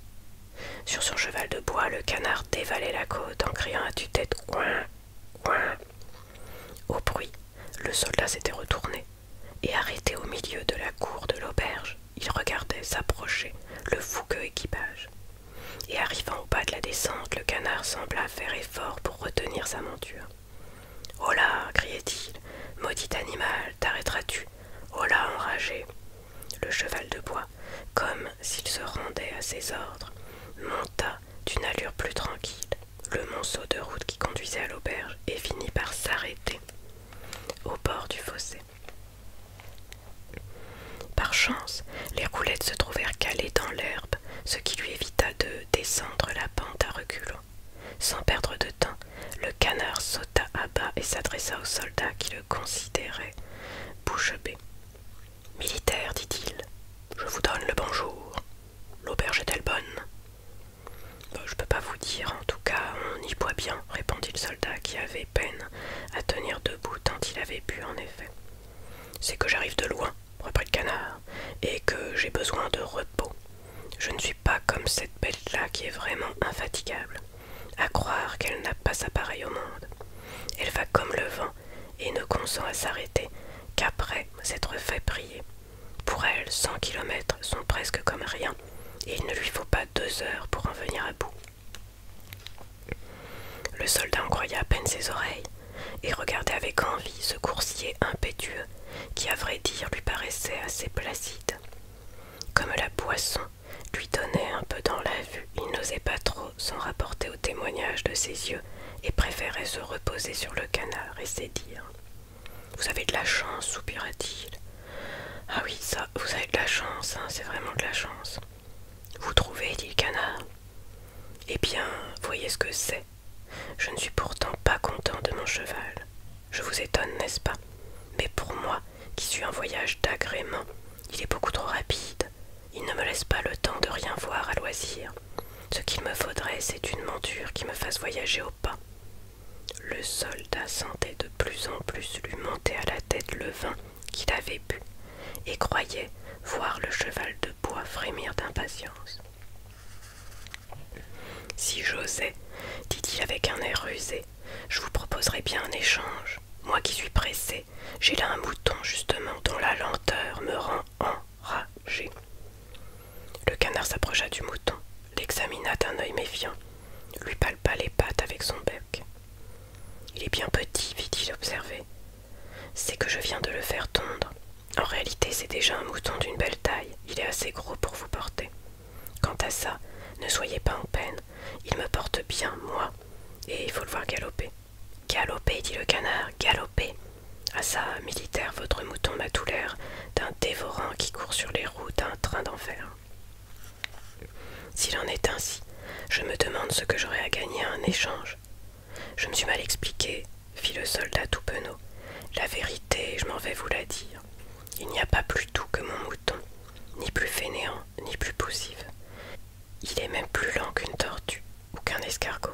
Sur son cheval de bois, le canard dévalait la côte en criant à tue-tête Coin Au bruit, le soldat s'était retourné et arrêté au milieu de la cour de l'auberge, il regardait s'approcher le fougueux équipage et arrivant au bas de la descente, le canard sembla faire effort pour retenir sa monture. Oh là criait-il, maudit animal, t'arrêteras-tu Oh là enragé Le cheval de bois, comme s'il se rendait à ses ordres, monta d'une allure plus tranquille le monceau de route qui conduisait à l'auberge et finit par s'arrêter au bord du fossé. Par chance, les roulettes se trouvèrent calées dans l'herbe ce qui lui évita de descendre la pente à reculons. Sans perdre de temps, le canard sauta à bas et s'adressa au soldat qui le considérait bouche bée. Militaire, dit-il, je vous donne le bonjour. L'auberge est-elle bonne Je ne peux pas vous dire, en tout cas, on y boit bien, répondit le soldat qui avait peine à tenir debout tant il avait bu en effet. C'est que j'arrive de loin, reprit le canard, et que j'ai besoin de repos. Je ne suis pas comme cette bête-là qui est vraiment infatigable. À croire qu'elle n'a pas sa pareille au monde. Elle va comme le vent et ne consent à s'arrêter qu'après s'être fait prier. Pour elle, cent kilomètres sont presque comme rien, et il ne lui faut pas deux heures pour en venir à bout. Le soldat croyait à peine ses oreilles et regardait avec envie ce coursier impétueux qui, à vrai dire, lui paraissait assez placide. Comme la poisson lui donnait un peu dans la vue, il n'osait pas trop s'en rapporter au témoignage de ses yeux et préférait se reposer sur le canard et dires. « Vous avez de la chance, soupira-t-il. Ah oui, ça, vous avez de la chance, hein, c'est vraiment de la chance. Vous trouvez, dit le canard. Eh bien, voyez ce que c'est. Je ne suis pourtant pas content de mon cheval. Je vous étonne, n'est-ce pas Mais pour moi, qui suis un voyage d'agrément, il est beaucoup trop rapide. Il ne me laisse pas le temps de rien voir à loisir. Ce qu'il me faudrait, c'est une monture qui me fasse voyager au pas. Le soldat sentait de plus en plus lui monter à la tête le vin qu'il avait bu et croyait voir le cheval de bois frémir d'impatience. Si j'osais, dit-il avec un air rusé, je vous proposerais bien un échange. Moi qui suis pressé, j'ai là un mouton justement dont la lenteur me rend enragé. Le canard s'approcha du mouton, l'examina d'un œil méfiant, lui palpa les pattes avec son bec. Il est bien petit, fit-il observer. C'est que je viens de le faire tondre. En réalité, c'est déjà un mouton d'une belle taille. Il est assez gros pour vous porter. Quant à ça, ne soyez pas en peine. Il me porte bien, moi. Et il faut le voir galoper. Galoper, dit le canard, galoper. À ça, militaire, votre mouton m'a tout l'air d'un dévorant qui court sur les routes d'un train d'enfer. S'il en est ainsi, je me demande ce que j'aurai à gagner à un échange. Je me suis mal expliqué, fit le soldat tout penaud. La vérité, je m'en vais vous la dire. Il n'y a pas plus doux que mon mouton, ni plus fainéant, ni plus poussif. Il est même plus lent qu'une tortue ou qu'un escargot.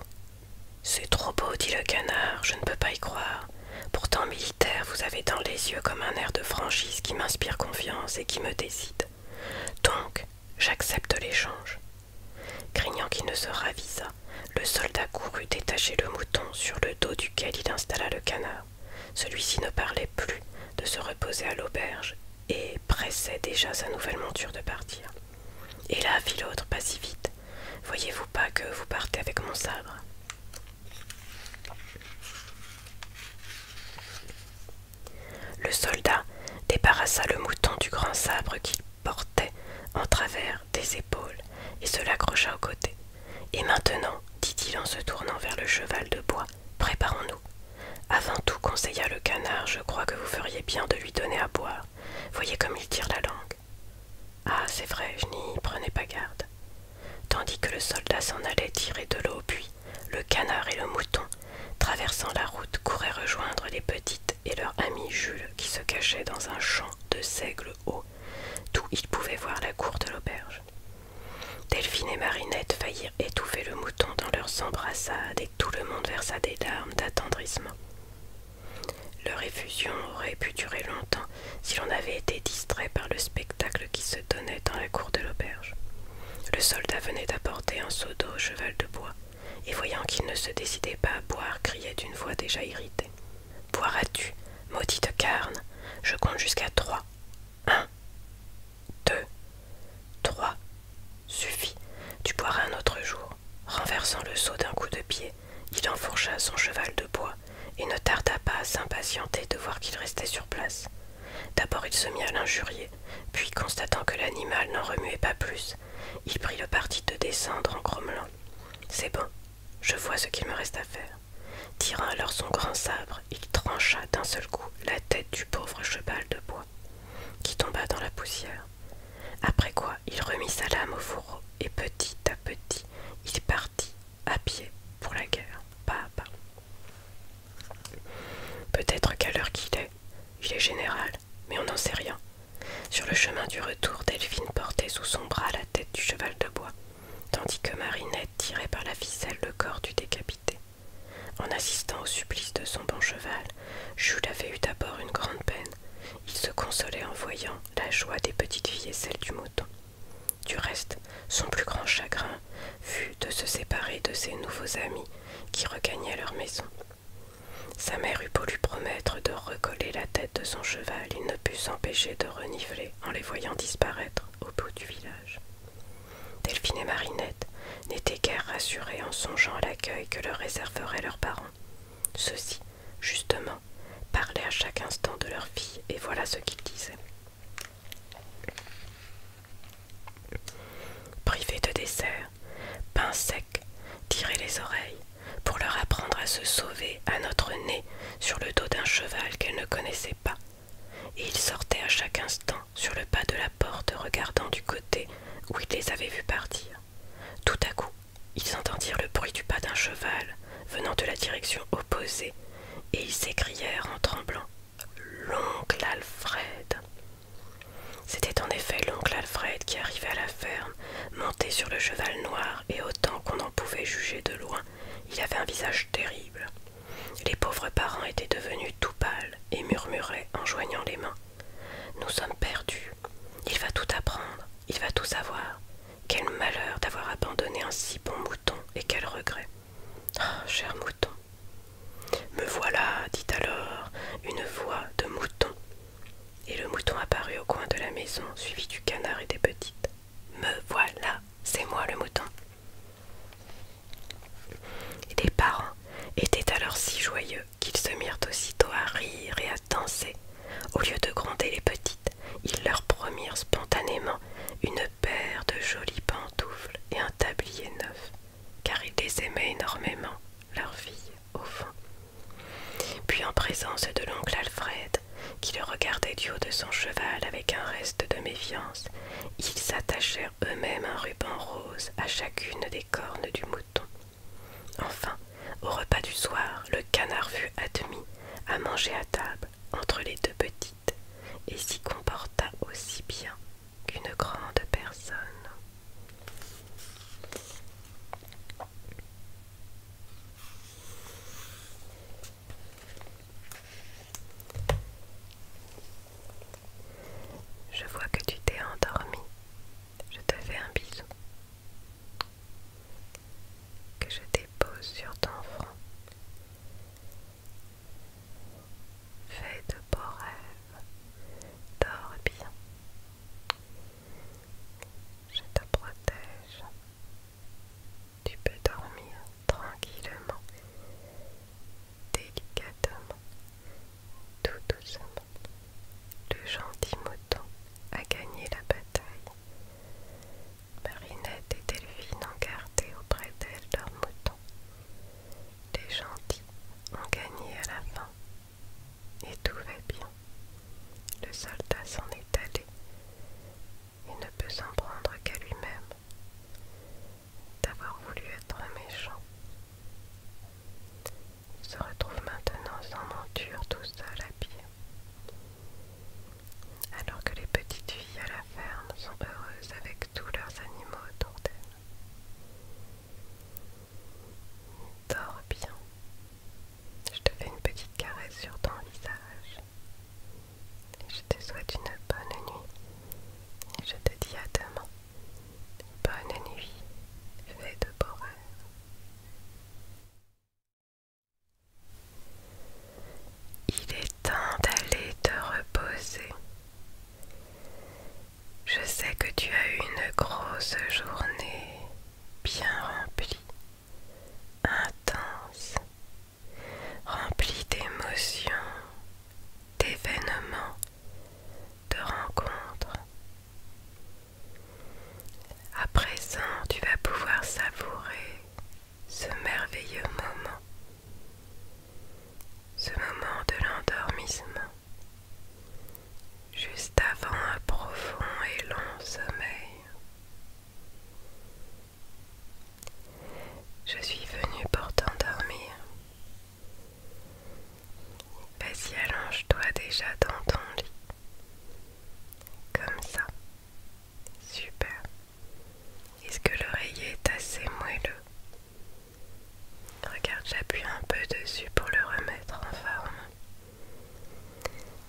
C'est trop beau, dit le canard, je ne peux pas y croire. Pourtant, militaire, vous avez dans les yeux comme un air de franchise qui m'inspire confiance et qui me décide. Donc, J'accepte l'échange. Craignant qu'il ne se ravisa, le soldat courut détacher le mouton sur le dos duquel il installa le canard. Celui-ci ne parlait plus de se reposer à l'auberge et pressait déjà sa nouvelle monture de partir. Et là, fit l'autre, pas si vite. Voyez-vous pas que vous partez avec mon sabre Le soldat débarrassa le mouton du grand sabre qu'il portait en travers des épaules et se l'accrocha au côté. Et maintenant, dit-il en se tournant vers le cheval de bois, préparons-nous. Avant tout, conseilla le canard, je crois que vous feriez bien de lui donner à boire. Voyez comme il tire la langue. Ah, c'est vrai, je n'y prenais pas garde. Tandis que le soldat s'en allait tirer de l'eau au puits, le canard et le mouton traversant la route, couraient rejoindre les petites et leur ami Jules qui se cachaient dans un champ de seigle haut, d'où ils pouvaient voir la cour de l'auberge. Delphine et Marinette faillirent étouffer le mouton dans leurs embrassades et tout le monde versa des larmes d'attendrissement. Leur effusion aurait pu durer longtemps si l'on avait été distrait par le spectacle qui se donnait dans la cour de l'auberge. Le soldat venait d'apporter un seau d'eau au cheval de bois et voyant qu'il ne se décidait pas à boire, criait d'une voix déjà irritée. Boiras-tu, maudite carne Je compte jusqu'à trois. Un, deux, trois. Suffit, tu boiras un autre jour. Renversant le seau d'un coup de pied, il enfourcha son cheval de bois et ne tarda pas à s'impatienter de voir qu'il restait sur place. D'abord il se mit à l'injurier, puis constatant que l'animal n'en remuait pas plus, il prit le parti de descendre en grommelant. C'est bon, je vois ce qu'il me reste à faire. Tirant alors son grand sabre, il trancha d'un seul coup la tête du pauvre cheval de bois, qui tomba dans la poussière. Après quoi, il remit sa lame au fourreau, et petit à petit, il partit à pied pour la guerre, pas à pas. Peut-être qu'à l'heure qu'il est, il est général, mais on n'en sait rien. Sur le chemin du retour, Delphine portait sous son bras la tête du cheval de bois, tandis que Marinette tirait par la ficelle le corps du décapité. En assistant au supplice de son bon cheval, Jules avait eu d'abord une grande peine. Il se consolait en voyant la joie des petites filles et celle du mouton. Du reste, son plus grand chagrin fut de se séparer de ses nouveaux amis qui regagnaient leur maison. Sa mère eut beau lui promettre de recoller la tête de son cheval, il ne put s'empêcher de renifler en les voyant disparaître au bout du village. Delphine et Marinette n'étaient guère rassurées en songeant à l'accueil que leur réserveraient leurs parents. Ceux-ci, justement, parlaient à chaque instant de leur fille, et voilà ce qu'ils disaient. Privé de dessert, Pin sec, tirait les oreilles, pour leur apprendre à se sauver à notre nez sur le dos d'un cheval qu'elles ne connaissaient pas. Et ils sortaient à chaque instant sur le pas de la porte, regardant du côté où ils les avaient vus partir. Tout à coup, ils entendirent le bruit du pas d'un cheval venant de la direction opposée, et ils s'écrièrent en tremblant L'oncle Alfred c'était en effet l'oncle Alfred qui arrivait à la ferme, monté sur le cheval noir, et autant qu'on en pouvait juger de loin, il avait un visage terrible. Les pauvres parents étaient devenus tout pâles et murmuraient en joignant les mains. Nous sommes perdus. Il va tout apprendre, il va tout savoir. Quel malheur d'avoir abandonné un si bon mouton et quel regret. Ah, cher mouton. Me voilà, dit alors une voix de mouton et le mouton apparut au coin de la maison, suivi du canard et des petites. Me voilà, c'est moi le mouton. Les parents étaient alors si joyeux qu'ils se mirent aussitôt à rire et à danser. Au lieu de gronder les petites, ils leur promirent spontanément une paire de jolies pantoufles et un tablier neuf, car ils les aimaient énormément leur fille, au fond. Puis en présence de l'oncle Alfred, qui le regardait du haut de son cheval avec un reste de méfiance, ils s'attachèrent eux-mêmes un ruban rose à chacune des cornes du mouton. Enfin, au repas du soir, le canard fut admis à manger à table entre les deux petites et s'y comporta aussi bien qu'une grande personne. Je vois que tu t'es endormi. Je te fais un bisou. Que je dépose sur ton front. Fais de beaux rêves. Dors bien. Je te protège. Tu peux dormir tranquillement, délicatement, tout doucement. Le gentil mouton a gagné la bataille. Marinette et Delphine ont gardé auprès d'elle leurs moutons. Les gentils ont gagné à la fin et tout va bien. Le soldat s'en est allé et ne peut s'en prendre qu'à lui-même d'avoir voulu être méchant. Il se retrouve maintenant sans monture tout seul à pied. Alors que les petites filles à la ferme sont heureuses avec tous leurs animaux autour d'elles. Dors bien. Je te fais une petite caresse sur ton visage. Je te souhaite une bonne nuit. je te dis à demain. Bonne nuit. Fais de beaux rêves. Il est temps d'aller te reposer. Je sais que tu as eu une grosse journée bien remplie, intense, remplie d'émotions, d'événements, de rencontres. À présent, tu vas pouvoir savourer ce merveilleux moment, ce moment de l'endormissement juste avant un profond et long sommeil. Je suis venue pour t'endormir. Vas-y, allonge-toi déjà dans ton lit. Comme ça. Super. Est-ce que l'oreiller est assez moelleux Regarde, j'appuie un peu dessus pour le remettre en forme.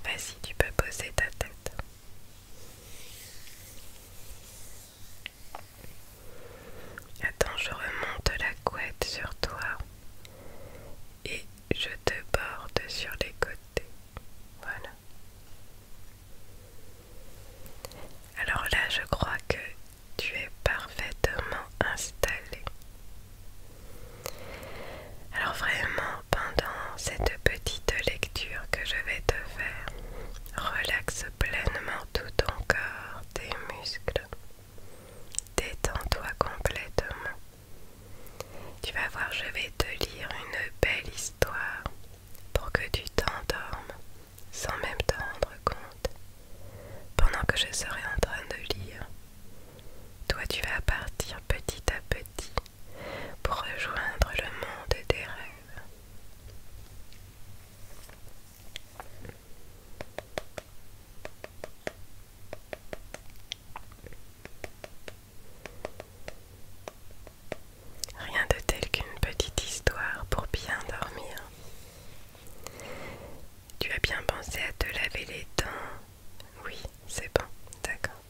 Vas-y, tu peux poser ta tête. Attends, je remonte la couette sur toi et je te borde sur les côtés. Voilà. Alors là, je crois que tu es parfaitement installé. Alors vraiment, pendant cette petite lecture que je vais te faire, relaxe pleinement tout ton corps, tes muscles. Détends-toi complètement. Tu vas voir, je vais te lire une belle histoire pour que tu t'endormes sans même t'en rendre compte pendant que je serai en train de lire. Toi, tu vas partir petit à petit pour rejoindre le monde des rêves. Rien de tel qu'une petite histoire pour bien dormir. Tu as bien pensé à te laver les dents, oui, c'est bon, d'accord.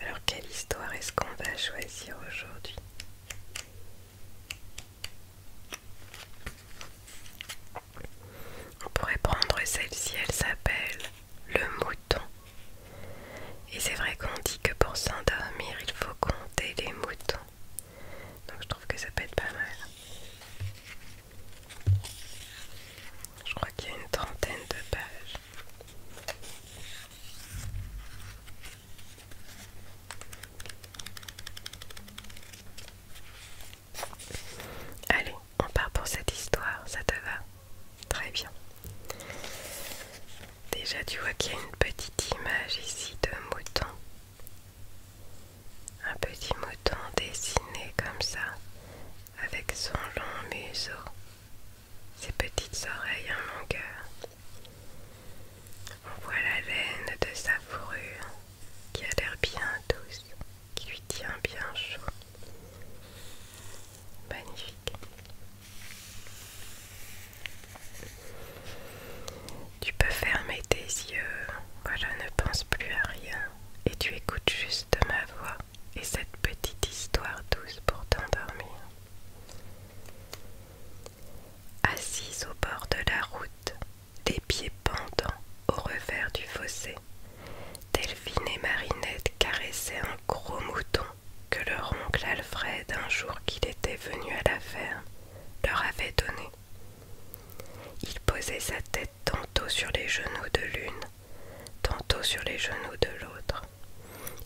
Alors, quelle histoire est-ce qu'on va choisir aujourd'hui On pourrait prendre celle-ci, elle s'appelle Le Mouton. Et c'est vrai qu'on dit que pour s'endormir, il faut compter les moutons. Donc je trouve que ça peut être pas mal. Je crois qu'il y a une trentaine de pages. Allez, on part pour cette histoire, ça te va Très bien. Déjà, tu vois qu'il y a une petite image ici de mouton un petit mouton dessiné comme ça, avec son long museau, ses petites oreilles en longueur. On voit la laine de sa fourrure qui a l'air bien douce, qui lui tient bien chaud. Magnifique. Tu peux fermer tes yeux, je ne pense plus à rien, et tu écoutes juste ma voix et cette petite histoire douce pour t'endormir. Assise au bord de la route, des pieds pendants au revers du fossé, Delphine et Marinette caressaient un gros mouton que leur oncle Alfred, un jour qu'il était venu à la ferme, leur avait donné. Il posait sa tête tantôt sur les genoux de l'une, tantôt sur les genoux de l'autre,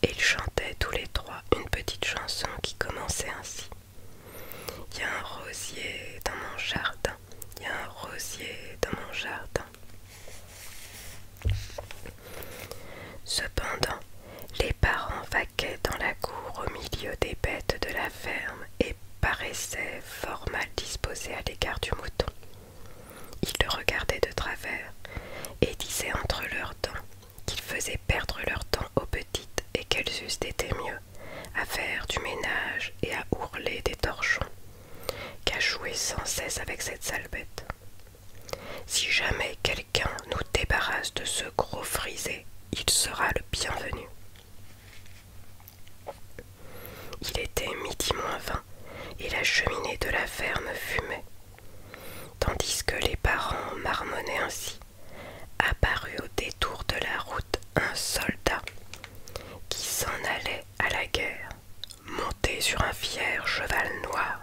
et ils chantaient tous les trois une petite chanson qui commençait ainsi. Il y a un rosier dans mon jardin, il y a un rosier dans mon jardin. Cependant, les parents vaquaient dans la cour au milieu des bêtes de la ferme et paraissaient fort mal disposés à l'égard du mouton. Ils le regardaient de travers et disaient entre leurs dents qu'ils faisaient perdre leur temps aux petites et qu'elles eussent été mieux à faire du ménage et à ourler des torchons qu'à jouer sans cesse avec cette sale bête. Si jamais quelqu'un nous débarrasse de ce gros frisé, il sera le bienvenu. Il était midi moins vingt et la cheminée de la ferme fumait. Tandis que les parents marmonnaient ainsi, apparut au détour de la route un soldat qui s'en allait à la guerre, monté sur un fier cheval noir.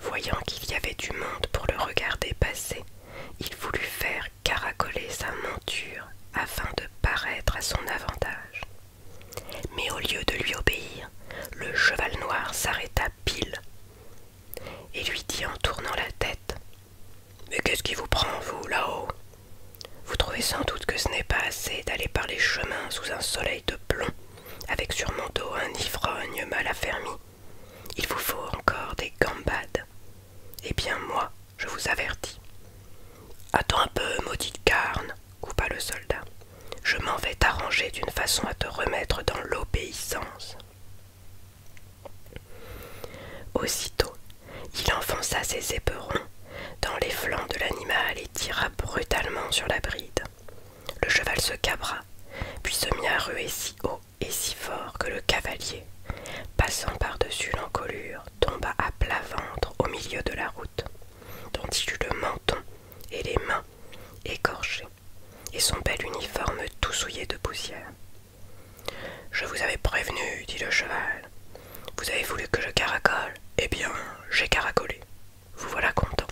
Voyant qu'il y avait du monde pour le regarder passer, il voulut faire caracoler sa monture afin de paraître à son avantage. Mais au lieu de lui obéir, le cheval noir s'arrêta pile et lui dit en tournant la tête Mais qu'est-ce qui vous prend, vous, là-haut Vous trouvez sans doute que ce n'est pas assez d'aller par les chemins sous un soleil de plomb, avec sur mon dos un ivrogne mal affermi il vous faut encore des gambades. Eh bien moi, je vous avertis. Attends un peu, maudite carne, coupa le soldat. Je m'en vais t'arranger d'une façon à te remettre dans l'obéissance. Aussitôt, il enfonça ses éperons dans les flancs de l'animal et tira brutalement sur la bride. Le cheval se cabra, puis se mit à ruer si haut et si fort que le cavalier, passant par-dessus l'encolure, tomba à plat ventre au milieu de la route, dont il eut le menton et les mains écorchées, et son bel uniforme tout souillé de poussière. Je vous avais prévenu, dit le cheval. Vous avez voulu que je caracole Eh bien, j'ai caracolé. Vous voilà content.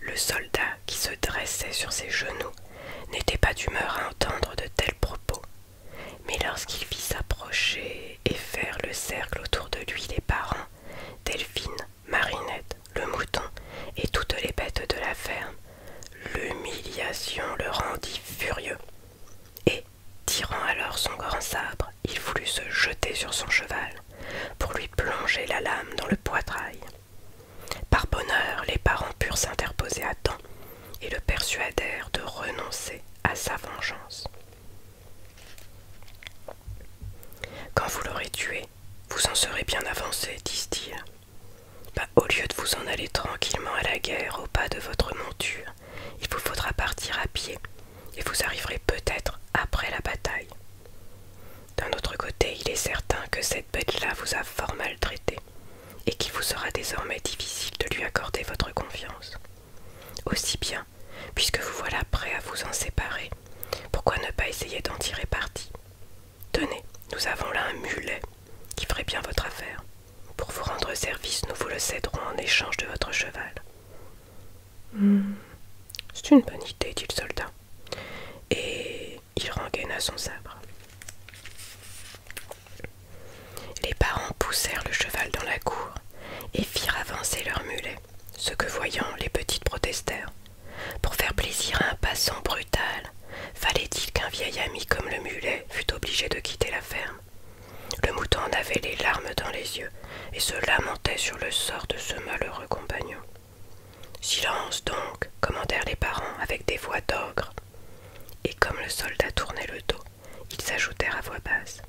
Le soldat, qui se dressait sur ses genoux, n'était pas d'humeur à entendre de tels propos, mais lorsqu'il vit s'approcher et faire le cercle autour de lui les parents, Delphine, Marinette, le mouton et toutes les bêtes de la ferme, l'humiliation le rendit furieux. Tirant alors son grand sabre, il voulut se jeter sur son cheval pour lui plonger la lame dans le poitrail. Par bonheur, les parents purent s'interposer à temps et le persuadèrent de renoncer à sa vengeance. Quand vous l'aurez tué, vous en serez bien avancé, disent-ils. Bah, au lieu de vous en aller tranquillement à la guerre au pas de votre monture, il vous faudra partir à pied et vous arriverez peut-être après la bataille. D'un autre côté, il est certain que cette bête-là vous a fort maltraité et qu'il vous sera désormais difficile de lui accorder votre confiance. Aussi bien, puisque vous voilà prêt à vous en séparer, pourquoi ne pas essayer d'en tirer parti Tenez, nous avons là un mulet qui ferait bien votre affaire. Pour vous rendre service, nous vous le céderons en échange de votre cheval. Hmm. C'est une bonne idée, dit le soldat. Et il rengaina son sabre. Les parents poussèrent le cheval dans la cour et firent avancer leur mulet, ce que voyant les petites protestèrent. Pour faire plaisir à un passant brutal, fallait-il qu'un vieil ami comme le mulet fût obligé de quitter la ferme le mouton en avait les larmes dans les yeux et se lamentait sur le sort de ce malheureux compagnon. Silence donc, commandèrent les parents avec des voix d'ogre. Et comme le soldat tournait le dos, ils ajoutèrent à voix basse.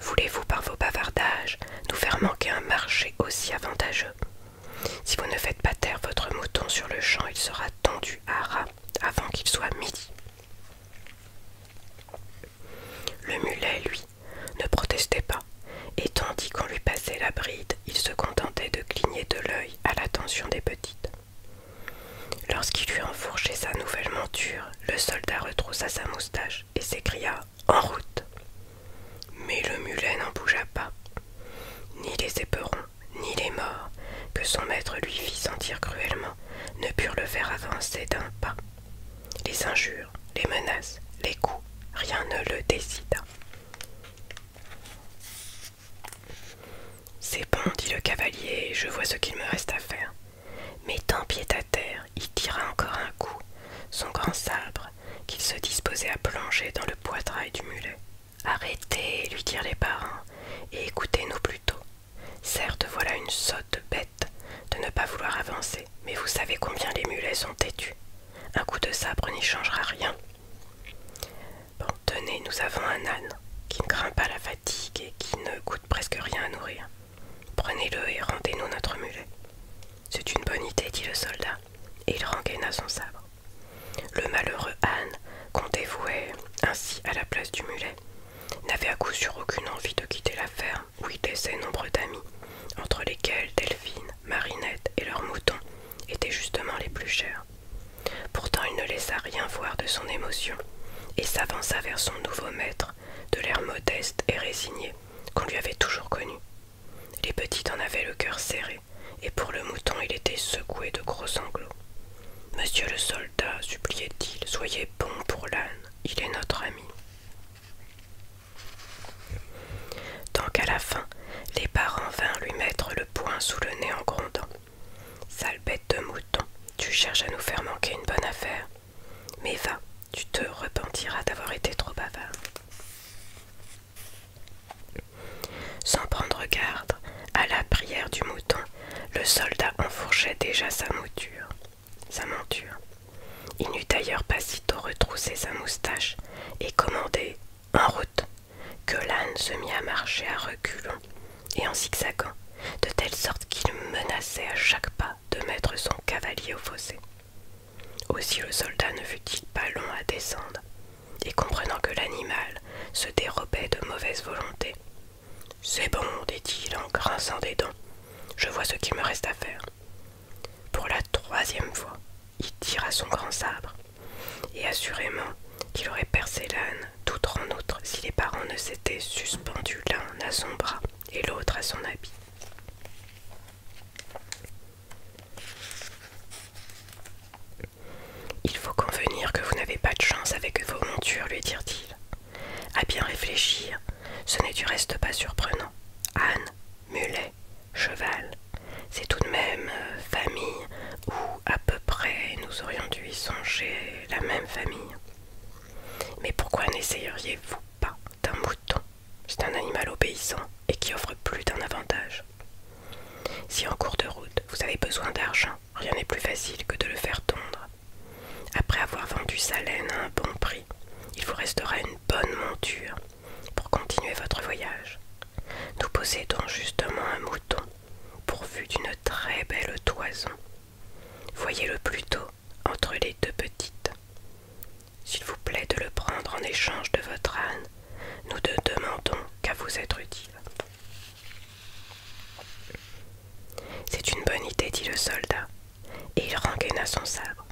Voulez-vous par vos bavardages nous faire manquer un marché aussi avantageux Si vous ne faites pas taire votre mouton sur le champ, il sera tendu à ras avant qu'il soit midi. Le mulet, lui, ne protestait pas, et tandis qu'on lui passait la bride, il se contentait de cligner de l'œil à l'attention des petites. Lorsqu'il eut enfourché sa nouvelle monture, le soldat retroussa sa moustache et s'écria En route Mais le mulet n'en bougea pas. Ni les éperons, ni les morts, que son maître lui fit sentir cruellement, ne purent le faire avancer d'un pas. Les injures, les menaces, les coups, rien ne le décida. C'est bon, dit le cavalier, je vois ce qu'il me reste à faire. Mettant pied à terre, il tira encore un coup, son grand sabre, qu'il se disposait à plonger dans le poitrail du mulet. Arrêtez, lui dirent les parents, et écoutez-nous plutôt. Certes, voilà une sotte bête de ne pas vouloir avancer, mais vous savez combien les mulets sont têtus. Un coup de sabre n'y changera rien. Bon, tenez, nous avons un âne qui ne craint pas la fatigue et qui ne coûte presque rien à nourrir. Prenez-le et rendez-nous notre mulet. C'est une bonne idée, dit le soldat, et il rengaina son sabre. Le malheureux âne, qu'on dévouait ainsi à la place du mulet, n'avait à coup sûr aucune envie de quitter la ferme où il laissait nombre d'amis, entre lesquels Delphine, Marinette et leur mouton étaient justement les plus chers. Pourtant il ne laissa rien voir de son émotion, et s'avança vers son nouveau maître, de l'air modeste et résigné qu'on lui avait toujours connu. Les petits en avaient le cœur serré, et pour le mouton il était secoué de gros sanglots. Monsieur le soldat, suppliait-il, soyez bon pour l'âne, il est notre ami. Tant qu'à la fin, les parents vinrent lui mettre le poing sous le nez en grondant. Sale bête de mouton, tu cherches à nous faire manquer une bonne affaire. Mais va, tu te repentiras d'avoir été trop bavard. Sans prendre garde, à la prière du mouton, le soldat enfourchait déjà sa mouture sa monture. Il n'eut d'ailleurs pas sitôt retroussé sa moustache et commandé en route que l'âne se mit à marcher à reculons et en zigzagant, de telle sorte qu'il menaçait à chaque pas de mettre son cavalier au fossé. Aussi le soldat ne fut-il pas long à descendre, et comprenant que l'animal se dérobait de mauvaise volonté. C'est bon, dit-il en grinçant des dents, je vois ce qu'il me reste à faire. Pour la troisième fois, il tira son grand sabre, et assurément qu'il aurait percé l'âne, d'outre en outre, si les parents ne s'étaient suspendus l'un à son bras et l'autre à son habit. Il faut convenir que vous n'avez pas de chance avec vos montures, lui dirent-ils. À bien réfléchir, ce n'est du reste pas surprenant Anne, mulet, cheval. C'est tout de même euh, famille, ou à peu près nous aurions dû y songer la même famille. Mais pourquoi n'essayeriez-vous pas d'un mouton C'est un animal obéissant et qui offre plus d'un avantage. Si en cours de route vous avez besoin d'argent, rien n'est plus facile que de le faire tondre. Après avoir vendu sa laine à un bon prix, il vous restera une bonne monture pour continuer votre voyage. Nous possédons justement un mouton pourvu d'une très belle toison. Voyez-le plutôt entre les deux petites. S'il vous plaît de le prendre en échange de votre âne, nous ne demandons qu'à vous être utile. C'est une bonne idée, dit le soldat. Et il rengaina son sabre.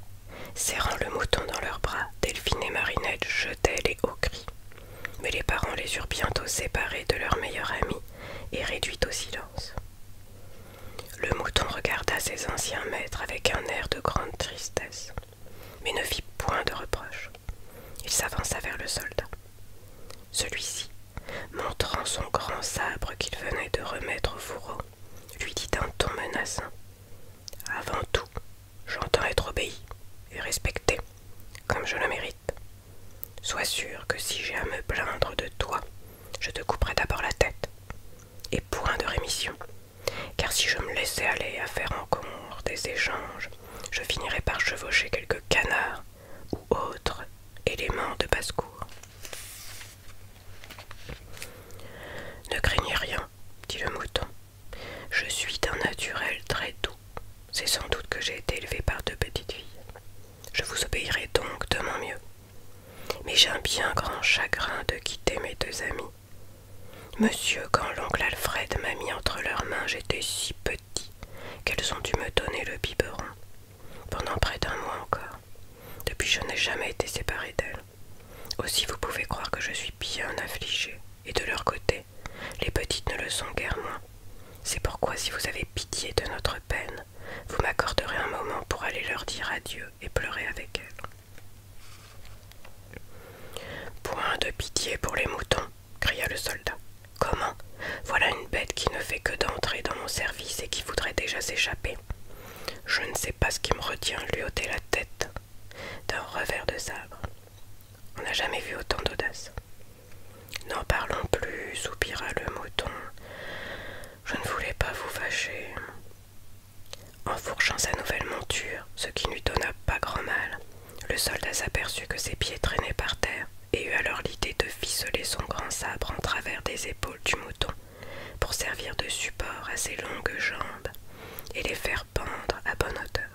Serrant le mouton dans leurs bras, Delphine et Marinette jetaient les hauts cris. Mais les parents les eurent bientôt séparés de leur meilleur ami et réduits au silence. Le mouton regarda ses anciens maîtres avec un air de grande tristesse, mais ne fit point de reproche. Il s'avança vers le soldat. Celui-ci, montrant son grand sabre qu'il venait de remettre au fourreau, lui dit d'un ton menaçant. Avant tout, j'entends être obéi et respecté, comme je le mérite. Sois sûr que si j'ai à me plaindre de toi, je te couperai d'abord la tête. Et point de rémission, car si je me laissais aller à faire encore des échanges, je finirais par chevaucher quelques canards ou autres éléments de basse-cour. Ne craignez rien, dit le mouton. Je suis d'un naturel très doux. C'est sans doute que j'ai été élevé par deux petites filles. Je vous obéirai donc de mon mieux. Mais j'ai un bien grand chagrin de quitter mes deux amis. Monsieur, quand l'oncle Alfred m'a mis entre leurs mains, j'étais si petit qu'elles ont dû me donner le biberon. Pendant près d'un mois encore. Depuis, je n'ai jamais été séparé d'elles. Aussi vous pouvez croire que je suis bien affligée, et de leur côté, les petites ne le sont guère moins. C'est pourquoi si vous avez pitié de notre peine, vous m'accorderez un moment pour aller leur dire adieu et pleurer avec elles. Point de pitié pour les moutons, cria le soldat. Comment Voilà une bête qui ne fait que d'entrer dans mon service et qui voudrait déjà s'échapper je ne sais pas ce qui me retient, lui ôter la tête d'un revers de sabre. On n'a jamais vu autant d'audace. N'en parlons plus, soupira le mouton. Je ne voulais pas vous fâcher. En fourchant sa nouvelle monture, ce qui ne lui donna pas grand mal, le soldat s'aperçut que ses pieds traînaient par terre et eut alors l'idée de ficeler son grand sabre en travers des épaules du mouton pour servir de support à ses longues jambes et les faire pendre à bonne hauteur.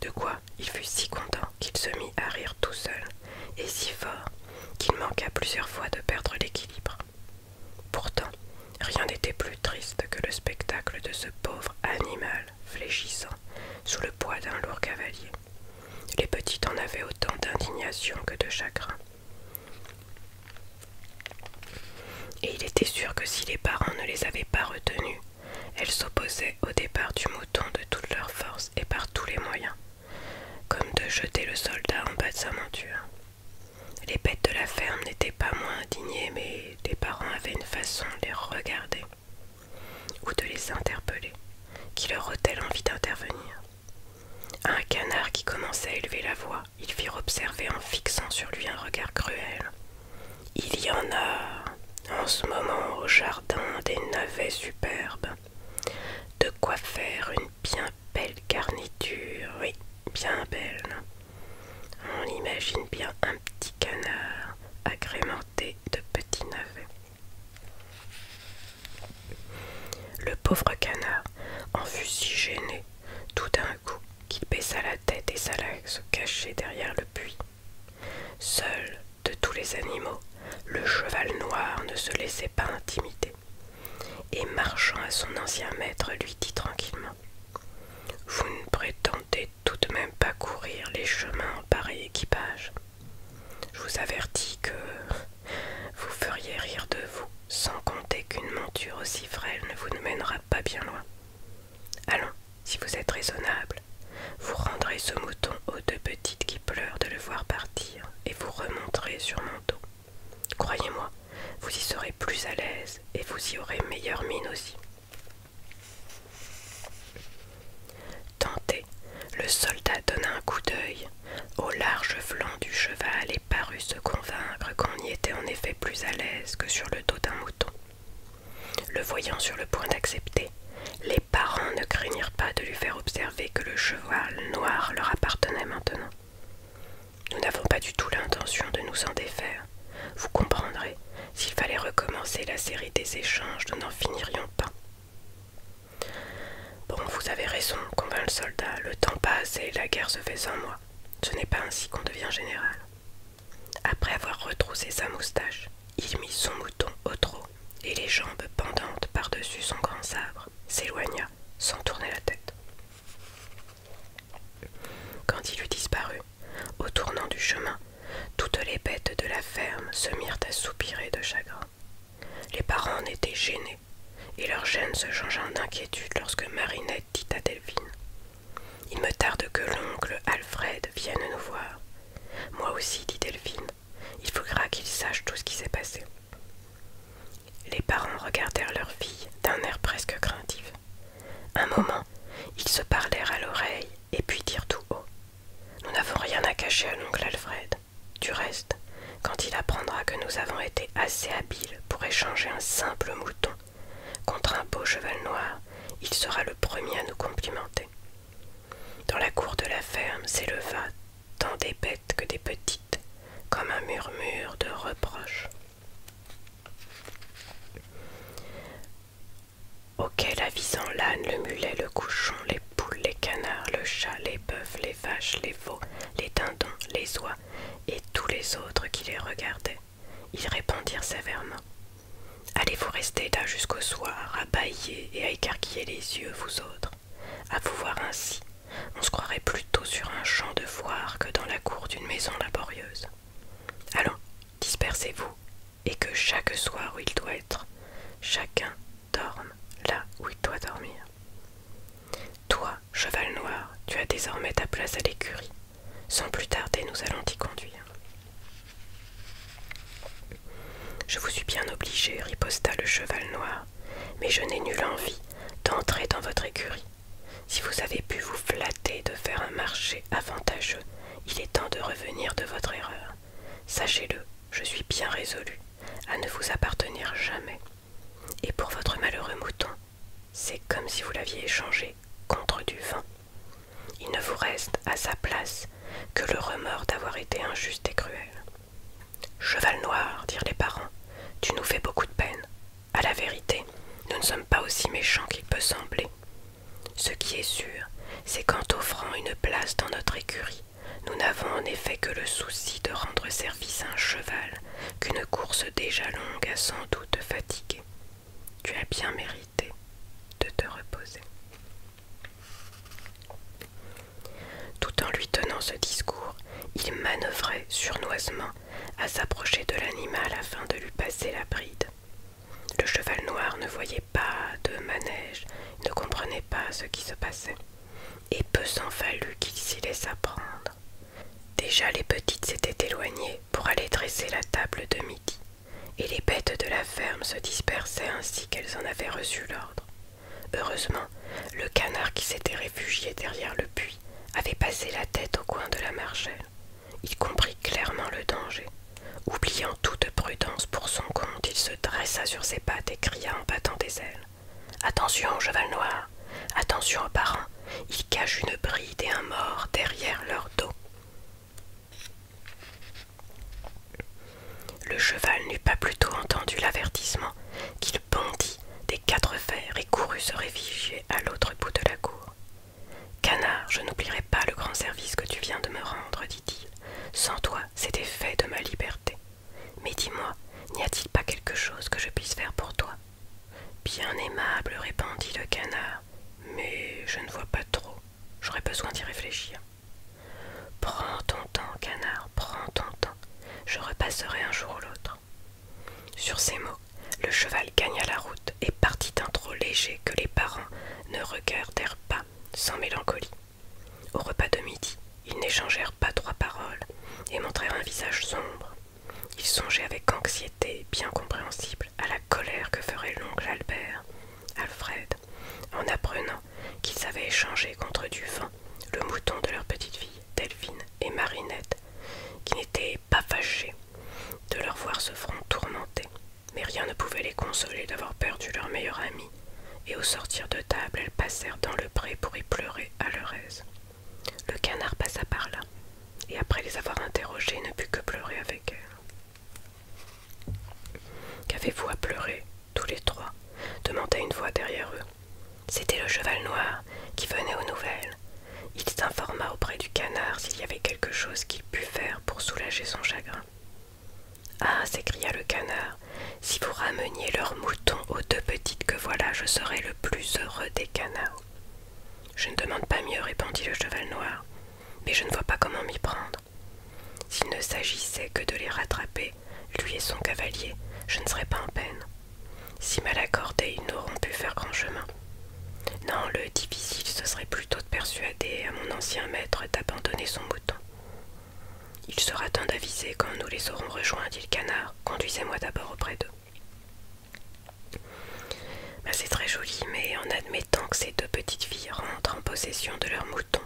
De quoi il fut si content qu'il se mit à rire tout seul, et si fort qu'il manqua plusieurs fois de perdre l'équilibre. Pourtant, rien n'était plus triste que le spectacle de ce pauvre animal fléchissant sous le poids d'un lourd cavalier. Les petits en avaient autant d'indignation que de chagrin. Et il était sûr que si les parents ne les avaient pas retenus, elles s'opposaient au départ du mouton de toutes leurs forces et par tous les moyens, comme de jeter le soldat en bas de sa monture. Les bêtes de la ferme n'étaient pas moins indignées, mais les parents avaient une façon de les regarder ou de les interpeller, qui leur ôtait l'envie d'intervenir. Un canard qui commençait à élever la voix ils firent observer en fixant sur lui un regard cruel. Il y en a en ce moment au jardin des navets superbes. De quoi faire une bien belle garniture, oui, bien belle. On imagine bien un petit canard agrémenté de petits navets. Le pauvre canard en fut si gêné tout d'un coup qu'il baissa la tête et s'alla se cacher derrière le puits. Seul de tous les animaux, le cheval noir ne se laissait pas intimider, et marchant à son ancien maître lui dit tranquillement Vous ne prétendez tout de même pas courir les chemins en pareil équipage. Je vous avertis que vous feriez rire de vous sans compter qu'une monture aussi frêle ne vous mènera pas bien loin. Allons, si vous êtes raisonnable, vous rendrez ce mouton aux deux petites qui pleurent de le voir partir et vous remonterez sur mon dos. Croyez-moi, vous y serez plus à l'aise et vous y aurez meilleure mine aussi. Tenté, le soldat donna un coup d'œil au large flanc du cheval parut se convaincre qu'on y était en effet plus à l'aise que sur le dos d'un mouton. Le voyant sur le point d'accepter, les parents ne craignirent pas de lui faire observer que le cheval noir leur appartenait maintenant. Nous n'avons pas du tout l'intention de nous en défaire. Vous comprendrez, s'il fallait recommencer la série des échanges, nous n'en finirions pas. Bon, vous avez raison, convainc le soldat, le temps passe et la guerre se fait sans moi ce n'est pas ainsi qu'on devient général. Après avoir retroussé sa moustache, il mit son mouton au trot et les jambes pendantes par-dessus son grand sabre s'éloigna sans tourner la tête. Quand il eut disparu, au tournant du chemin, toutes les bêtes de la ferme se mirent à soupirer de chagrin. Les parents en étaient gênés, et leur gêne se changea d'inquiétude lorsque Marinette dit à Delphine. Il me tarde que l'oncle Alfred vienne nous voir. Moi aussi, dit Delphine. Il faudra qu'il sache tout ce qui s'est passé. Les parents regardèrent leur fille d'un air presque craintif. Un moment, ils se parlèrent à l'oreille et puis dirent tout haut. Nous n'avons rien à cacher à l'oncle Alfred. Du reste, quand il apprendra que nous avons été assez habiles pour échanger un simple mouton contre un beau cheval noir, il sera le premier à nous complimenter. Dans la cour de la ferme s'éleva tant des bêtes que des petites, comme un murmure de reproche. » Auquel avisant l'âne, le mulet, le couchon, les poules, les canards, le chat, les bœufs, les les vaches, les veaux, les dindons, les oies et tous les autres qui les regardaient. Ils répondirent sévèrement Allez-vous rester là jusqu'au soir, à bâiller et à écarquiller les yeux, vous autres À vous voir ainsi, on se croirait plutôt sur un champ de foire que dans la cour d'une maison laborieuse. Allons, dispersez-vous, et que chaque soir où il doit être, chacun dorme là où il doit dormir. Toi, cheval noir, tu as désormais ta place à l'écurie. Sans plus tarder, nous allons t'y conduire. Je vous suis bien obligé, riposta le cheval noir, mais je n'ai nulle envie d'entrer dans votre écurie. Si vous avez pu vous flatter de faire un marché avantageux, il est temps de revenir de votre erreur. Sachez-le, je suis bien résolu à ne vous appartenir jamais. Et pour votre malheureux mouton, c'est comme si vous l'aviez échangé contre du vin. Il ne vous reste à sa place que le remords d'avoir été injuste et cruel. Cheval noir, dirent les parents, tu nous fais beaucoup de peine. À la vérité, nous ne sommes pas aussi méchants qu'il peut sembler. Ce qui est sûr, c'est qu'en t'offrant une place dans notre écurie, nous n'avons en effet que le souci de rendre service à un cheval qu'une course déjà longue a sans doute fatigué. Tu as bien mérité de te reposer. Tout en lui tenant ce discours, il manœuvrait surnoisement à s'approcher de l'animal afin de lui passer la bride. Le cheval noir ne voyait pas de manège, ne comprenait pas ce qui se passait, et peu s'en fallut qu'il s'y laissât prendre. Déjà les petites s'étaient éloignées pour aller dresser la table de midi, et les bêtes de la ferme se dispersaient ainsi qu'elles en avaient reçu l'ordre. Heureusement, le canard qui s'était réfugié derrière le puits avait passé la tête au coin de la marchelle. Il comprit clairement le danger. Oubliant toute prudence pour son compte, il se dressa sur ses pattes et cria en battant des ailes. Attention, cheval noir, Attention aux parents, ils cachent une bride et un mort derrière leur dos. Le cheval n'eut pas plus tôt entendu l'avertissement qu'il bondit des quatre fers et courut se réfugier à l'autre bout de la cour. Canard, je n'oublierai pas le grand service que tu viens de me rendre, dit-il. Sans toi, c'était fait de ma liberté. Mais dis-moi, n'y a-t-il pas quelque chose que je puisse faire pour toi Bien aimable, répondit le canard, mais je ne vois pas trop. J'aurais besoin d'y réfléchir. Prends ton temps, canard, prends ton temps. Je repasserai un jour ou l'autre. Sur ces mots, le cheval gagna la route et partit d'un trot léger que les parents ne regardèrent pas sans mélancolie. Au repas de midi, ils n'échangèrent pas trois paroles et montrèrent un visage sombre. Ils songeaient avec anxiété, bien compréhensible, à la colère que ferait l'oncle Albert, Alfred, en apprenant qu'ils avaient échangé contre du vin le mouton de leur petite fille, Delphine et Marinette, qui n'étaient pas fâchés de leur voir ce front tourmenté. Mais rien ne pouvait les consoler d'avoir perdu leur meilleur ami, et au sortir de table, elles passèrent dans le pré pour y pleurer à leur aise. Le canard passa par là, et après les avoir interrogés, ne put que pleurer avec elle. Qu'avez-vous à pleurer, tous les trois demanda une voix derrière eux. C'était le cheval noir qui venait aux nouvelles. Il s'informa auprès du canard s'il y avait quelque chose qu'il pût faire pour soulager son chagrin. Ah s'écria le canard, si vous rameniez leurs moutons aux deux petites que voilà, je serais le plus heureux des canards. Je ne demande pas mieux, répondit le cheval noir, mais je ne vois pas comment m'y prendre. S'il ne s'agissait que de les rattraper, lui et son cavalier, je ne serais pas en peine. Si mal accordés, ils n'auront pu faire grand chemin. Non, le difficile, ce serait plutôt de persuader à mon ancien maître d'abandonner son bouton. Il sera temps d'aviser quand nous les aurons rejoints, dit le canard. Conduisez-moi d'abord auprès d'eux. Bah, c'est très joli, mais en admettant que ces deux petites filles rentrent en possession de leur mouton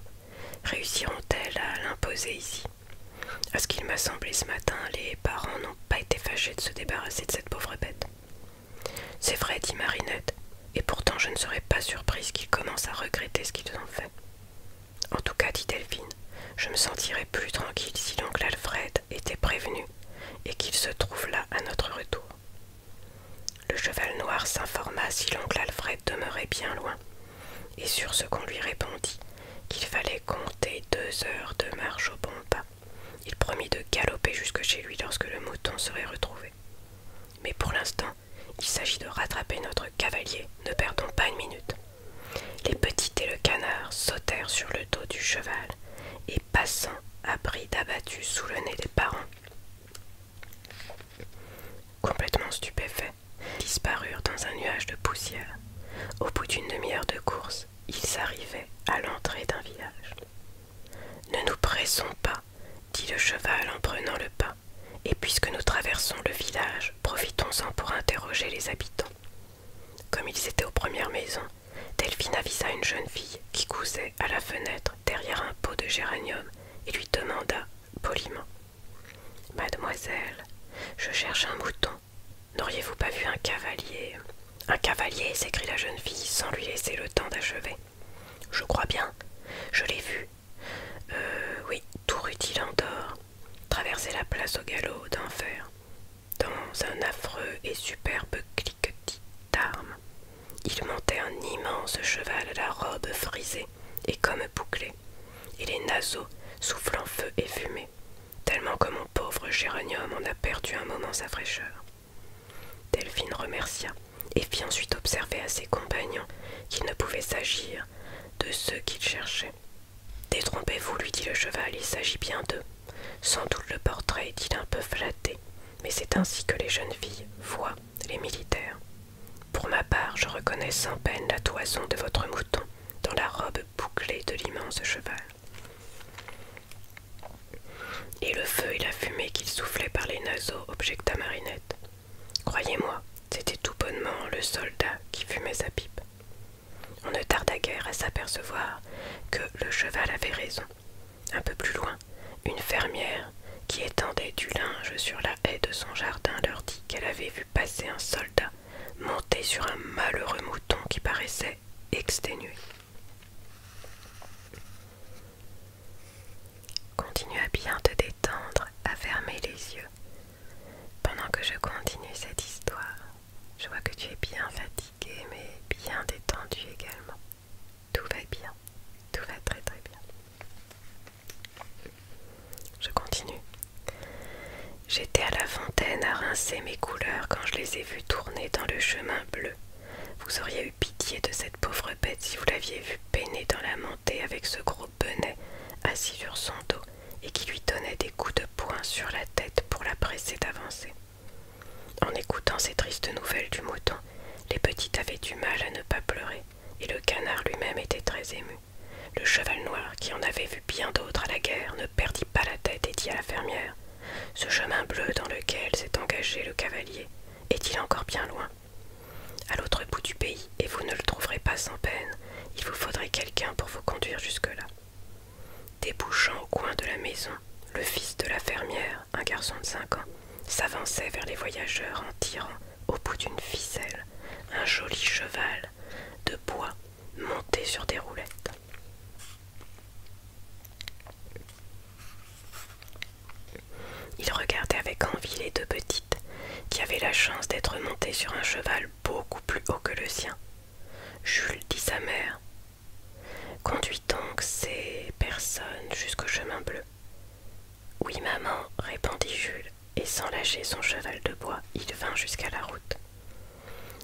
réussiront-elles à l'imposer ici À ce qu'il m'a semblé ce matin, les parents n'ont pas été fâchés de se débarrasser de cette pauvre bête. C'est vrai, dit Marinette, et pourtant je ne serais pas surprise qu'ils commencent à regretter ce qu'ils ont fait. En tout cas, dit Delphine, je me sentirais plus tranquille si l'oncle Alfred était prévenu et qu'il se trouve là à notre retour. Le cheval noir s'informa si l'oncle Alfred demeurait bien loin, et sur ce qu'on lui répondit qu'il fallait compter deux heures de marche au bon pas. Il promit de galoper jusque chez lui lorsque le mouton serait retrouvé. Mais pour l'instant, il s'agit de rattraper notre cavalier, ne perdons pas une minute. Les petits et le canard sautèrent sur le dos du cheval et passant à bride abattue sous le nez des parents. Complètement stupéfaits, disparurent dans un nuage de poussière. Au bout d'une demi-heure de course, ils arrivaient à l'entrée d'un village. Ne nous pressons pas, dit le cheval en prenant le pas, et puisque nous traversons le village, profitons-en pour interroger les habitants. Comme ils étaient aux premières maisons, Delphine avisa une jeune fille qui cousait à la fenêtre derrière un pot de géranium et lui demanda poliment Mademoiselle, je cherche un mouton. N'auriez-vous pas vu un cavalier Un cavalier s'écria la jeune fille sans lui laisser le temps d'achever. Je crois bien, je l'ai vu. Euh, oui, tout rutilant d'or, traverser la place au galop d'enfer. Dans un affreux et superbe cliquetis d'armes, il montait un immense cheval à la robe frisée et comme bouclée, et les naseaux soufflant feu et fumée, tellement que mon pauvre géranium en a perdu un moment sa fraîcheur. Delphine remercia et fit ensuite observer à ses compagnons qu'il ne pouvait s'agir de ceux qu'il cherchait, Détrompez-vous, lui dit le cheval, il s'agit bien d'eux. Sans doute le portrait est-il un peu flatté, mais c'est ainsi que les jeunes filles voient les militaires. Pour ma part, je reconnais sans peine la toison de votre mouton dans la robe bouclée de l'immense cheval. Et le feu et la fumée qu'il soufflait par les naseaux, objecta Marinette. Croyez-moi, c'était tout bonnement le soldat qui fumait sa pipe. On ne tarda guère à s'apercevoir que le cheval avait raison. Un peu plus loin, une fermière qui étendait du linge sur la haie de son jardin leur dit qu'elle avait vu passer un soldat monté sur un malheureux mouton qui paraissait exténué. Continue à bien te détendre, à fermer les yeux, pendant que je continue cette histoire. Je vois que tu es bien fatigué, mais bien détendu également. Tout va bien. Tout va très très bien. Je continue. J'étais à la fontaine à rincer mes couleurs quand je les ai vues tourner dans le chemin bleu. Vous auriez eu pitié de cette pauvre bête si vous l'aviez vue peiner dans la montée avec ce gros bonnet assis sur son dos et qui lui donnait des coups de poing sur la tête pour la presser d'avancer. En écoutant ces tristes nouvelles du mouton, les petites avaient du mal à ne pas pleurer, et le canard lui-même était très ému. Le cheval noir, qui en avait vu bien d'autres à la guerre, ne perdit pas la tête et dit à la fermière Ce chemin bleu dans lequel s'est engagé le cavalier, est-il encore bien loin À l'autre bout du pays, et vous ne le trouverez pas sans peine, il vous faudrait quelqu'un pour vous conduire jusque-là. Débouchant au coin de la maison, le fils de la fermière, un garçon de cinq ans, s'avançait vers les voyageurs en tirant, au bout d'une ficelle, un joli cheval de bois monté sur des roulettes. Il regardait avec envie les deux petites qui avaient la chance d'être montées sur un cheval beaucoup plus haut que le sien. Jules dit sa mère Conduis donc ces personnes jusqu'au chemin bleu. Oui, maman, répondit Jules, et sans lâcher son cheval de bois, il vint jusqu'à la route.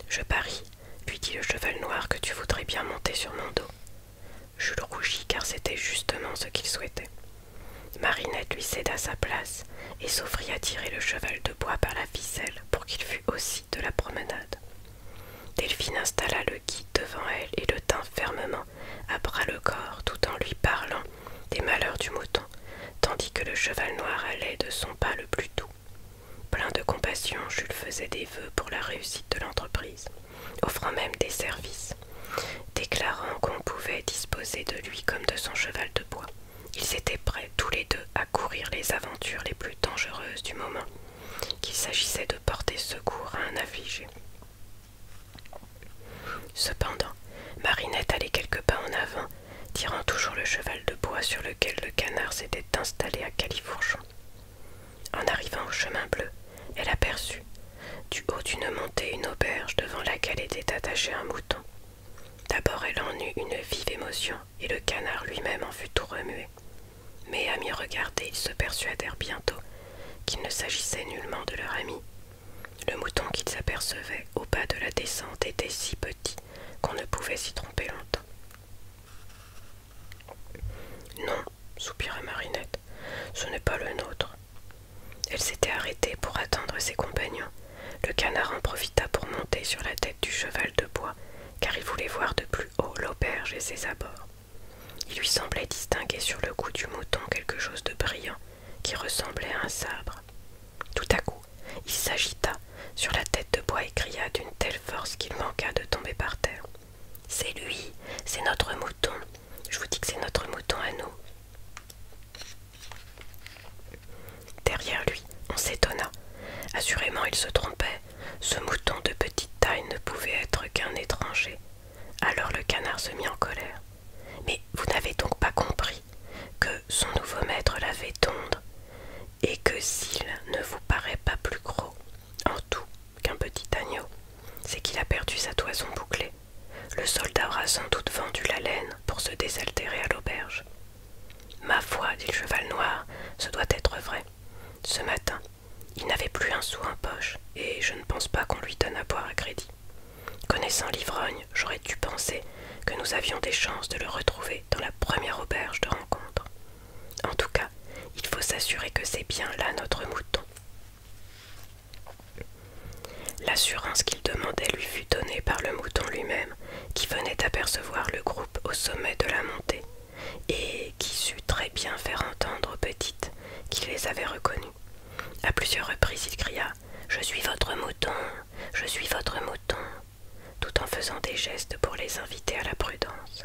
Je parie, puis dit le cheval noir, que tu voudrais bien monter sur mon dos. Jules rougit car c'était justement ce qu'il souhaitait. Marinette lui céda sa place et s'offrit à tirer le cheval de bois par la ficelle pour qu'il fût aussi de la promenade. Delphine installa le guide devant elle et le tint fermement, à bras le corps, tout en lui parlant des malheurs du mouton, tandis que le cheval noir allait de son pas le plus doux. Plein de compassion, Jules faisait des vœux pour la réussite de l'entreprise, offrant même des services, déclarant qu'on pouvait disposer de lui comme de son cheval de bois. Ils étaient prêts tous les deux à courir les aventures les plus dangereuses du moment, qu'il s'agissait de porter secours à un affligé. Cependant, Marinette allait quelques pas en avant, tirant toujours le cheval de bois sur lequel le canard s'était installé à Califourchon. En arrivant au chemin bleu, elle aperçut, du haut d'une montée, une auberge devant laquelle était attaché un mouton. D'abord elle en eut une vive émotion, et le canard lui-même en fut tout remué. Mais à m'y regarder, ils se persuadèrent bientôt qu'il ne s'agissait nullement de leur ami. Le mouton qu'ils apercevaient au bas de la descente était si petit qu'on ne pouvait s'y tromper longtemps. Non, soupira Marinette, ce n'est pas le nôtre. Elle s'était arrêtée pour attendre ses compagnons. Le canard en profita pour monter sur la tête du cheval de bois, car il voulait voir de plus haut l'auberge et ses abords. Il lui semblait distinguer sur le cou du mouton quelque chose de brillant qui ressemblait à un sabre. Tout à coup, il s'agita sur la tête de bois et cria d'une telle force qu'il manqua de tomber par terre. C'est lui, c'est notre mouton. Je vous dis que c'est notre mouton à nous. Derrière lui, on s'étonna. Assurément, il se trompait ce mouton de petite taille ne pouvait être qu'un étranger. Alors le canard se mit en colère. Mais vous n'avez donc pas compris que son nouveau maître l'avait tondre, et que s'il ne vous paraît pas plus gros en tout qu'un petit agneau, c'est qu'il a perdu sa toison bouclée. Le soldat aura sans doute vendu la laine pour se désaltérer à l'auberge. Ma foi, dit le cheval noir, ce doit être vrai. Ce matin, il n'avait plus un sou en poche, et je ne pense pas qu'on lui donne à boire à crédit. Connaissant l'ivrogne, j'aurais dû penser que nous avions des chances de le retrouver dans la première auberge de rencontre. En tout cas, il faut s'assurer que c'est bien là notre mouton. L'assurance qu'il demandait lui fut donnée par le mouton lui-même, qui venait apercevoir le groupe au sommet de la montée, et qui sut très bien faire entendre aux petites qu'il les avait reconnues. À plusieurs reprises, il cria Je suis votre mouton, je suis votre mouton, tout en faisant des gestes pour les inviter à la prudence.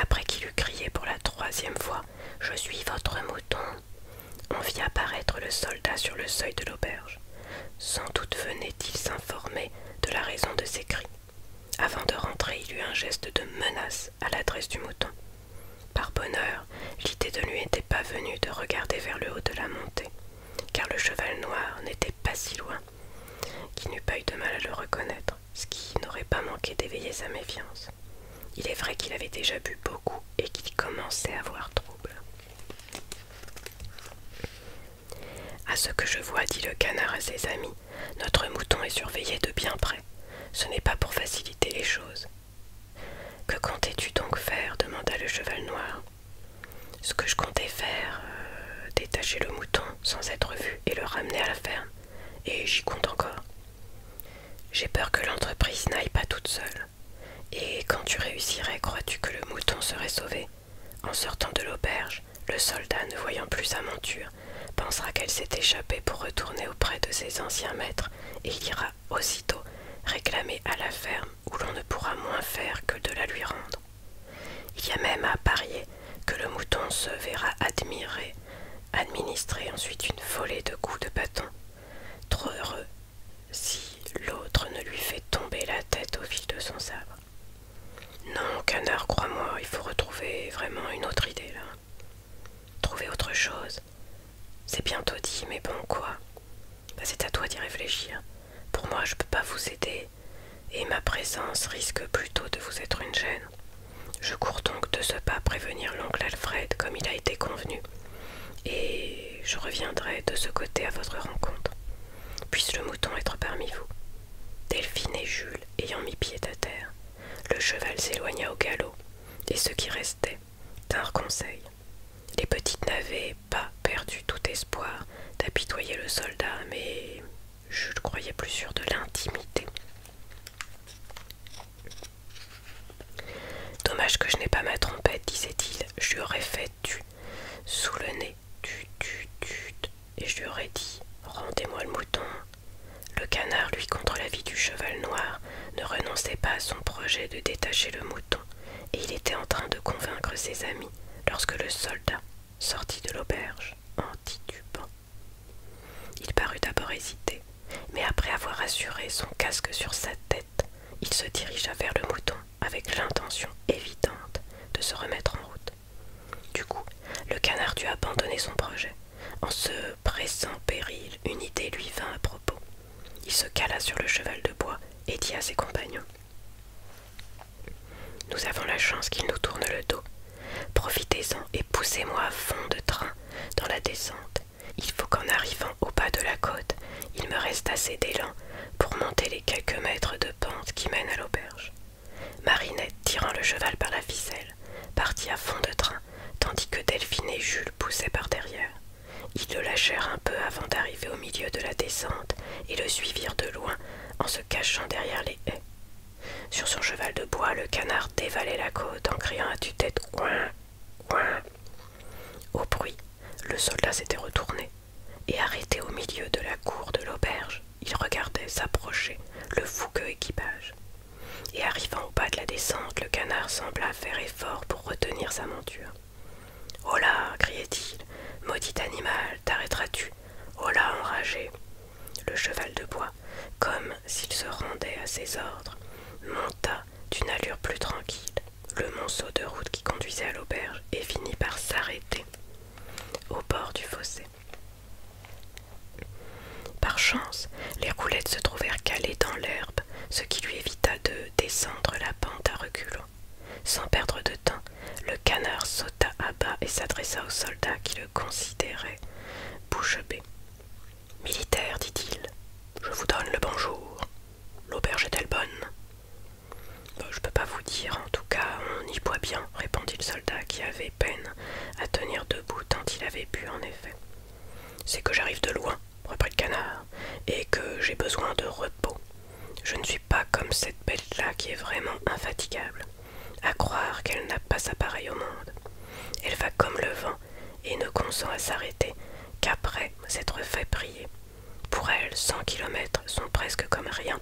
Après qu'il eut crié pour la troisième fois Je suis votre mouton, on vit apparaître le soldat sur le seuil de l'auberge. Sans doute venait-il s'informer de la raison de ses cris, avant de rentrer, il eut un geste de menace à l'adresse du mouton. Par bonheur, l'idée de lui n'était pas venue de regarder vers le haut de la montée, car le cheval noir n'était pas si loin, qu'il n'eût pas eu de mal à le reconnaître, ce qui n'aurait pas manqué d'éveiller sa méfiance. Il est vrai qu'il avait déjà bu beaucoup et qu'il commençait à avoir trouble. À ce que je vois, dit le canard à ses amis, notre mouton est surveillé de bien près. Ce n'est pas pour faciliter les choses. Que comptais-tu donc faire demanda le cheval noir. Ce que je comptais faire, euh, détacher le mouton sans être vu et le ramener à la ferme. Et j'y compte encore. J'ai peur que l'entreprise n'aille pas toute seule. Et quand tu réussirais, crois-tu que le mouton serait sauvé en sortant de l'auberge, le soldat, ne voyant plus sa monture, pensera qu'elle s'est échappée pour retourner auprès de ses anciens maîtres, et il ira aussitôt réclamer à la ferme où l'on ne pourra moins faire que de la lui rendre. Il y a même à parier que le mouton se verra admirer, administrer ensuite une volée de coups de bâton. Trop heureux si l'autre ne lui fait tomber la tête au fil de son sabre. Non, canard, crois-moi, il faut retrouver vraiment une autre idée là. Trouver autre chose. C'est bientôt dit, mais bon, quoi bah, C'est à toi d'y réfléchir. Pour moi, je peux pas vous aider, et ma présence risque plutôt de vous être une gêne. Je cours donc de ce pas prévenir l'oncle Alfred comme il a été convenu, et je reviendrai de ce côté à votre rencontre. Puisse le mouton être parmi vous. Delphine et Jules ayant mis pied à terre, le cheval s'éloigna au galop, et ceux qui restaient tinrent conseil. Les petites n'avaient pas perdu tout espoir d'apitoyer le soldat, mais Jules croyait plus sûr de l'intimité. Dommage que je n'ai pas ma trompette, disait-il, je lui aurais fait du sous le nez et je lui aurais dit Rendez-moi le mouton. Le canard, lui, contre la vie du cheval noir, ne renonçait pas à son projet de détacher le mouton, et il était en train de convaincre ses amis lorsque le soldat sortit de l'auberge en titubant. Il parut d'abord hésiter, mais après avoir assuré son casque sur sa tête, il se dirigea vers le mouton avec l'intention évidente de se remettre en route. Du coup, le canard dut abandonner son projet. En se pressant péril, une idée lui vint à propos. Il se cala sur le cheval de bois et dit à ses compagnons Nous avons la chance qu'il nous tourne le dos. Profitez-en et poussez-moi à fond de train dans la descente. Il faut qu'en arrivant au bas de la côte, il me reste assez d'élan pour monter les quelques mètres de pente qui mènent à l'auberge. Marinette, tirant le cheval par la ficelle, partit à fond de train, tandis que Delphine et Jules poussaient par derrière. Ils le lâchèrent un peu avant d'arriver au milieu de la descente et le suivirent de loin en se cachant derrière les haies. Sur son cheval de bois, le canard dévalait la côte en criant à tue-tête Coin Coin Au bruit, le soldat s'était retourné et arrêté au milieu de la cour de l'auberge il regardait s'approcher le fougueux équipage. Et arrivant au bas de la descente, le canard sembla faire effort pour retenir sa monture. Oh là criait-il, maudit animal, t'arrêteras-tu Oh là enragé Le cheval de bois, comme s'il se rendait à ses ordres, monta d'une allure plus tranquille le monceau de route qui conduisait à l'auberge et finit par s'arrêter au bord du fossé. Par chance, les roulettes se trouvèrent calées dans l'herbe, ce qui lui évita de descendre la pente à reculons. Sans perdre de temps, le canard sauta à bas et s'adressa au soldat qui le considérait bouche bée. Militaire, dit-il, je vous donne le bonjour. L'auberge est-elle bonne Je ne peux pas vous dire, en tout cas, on y boit bien, répondit le soldat qui avait peine à tenir debout tant il avait pu en effet. C'est que j'arrive de loin, reprit le canard, et que j'ai besoin de repos. Je ne suis pas comme cette bête-là qui est vraiment infatigable. À croire qu'elle n'a pas sa pareille au monde. Elle va comme le vent et ne consent à s'arrêter qu'après s'être fait prier. Pour elle, cent kilomètres sont presque comme rien,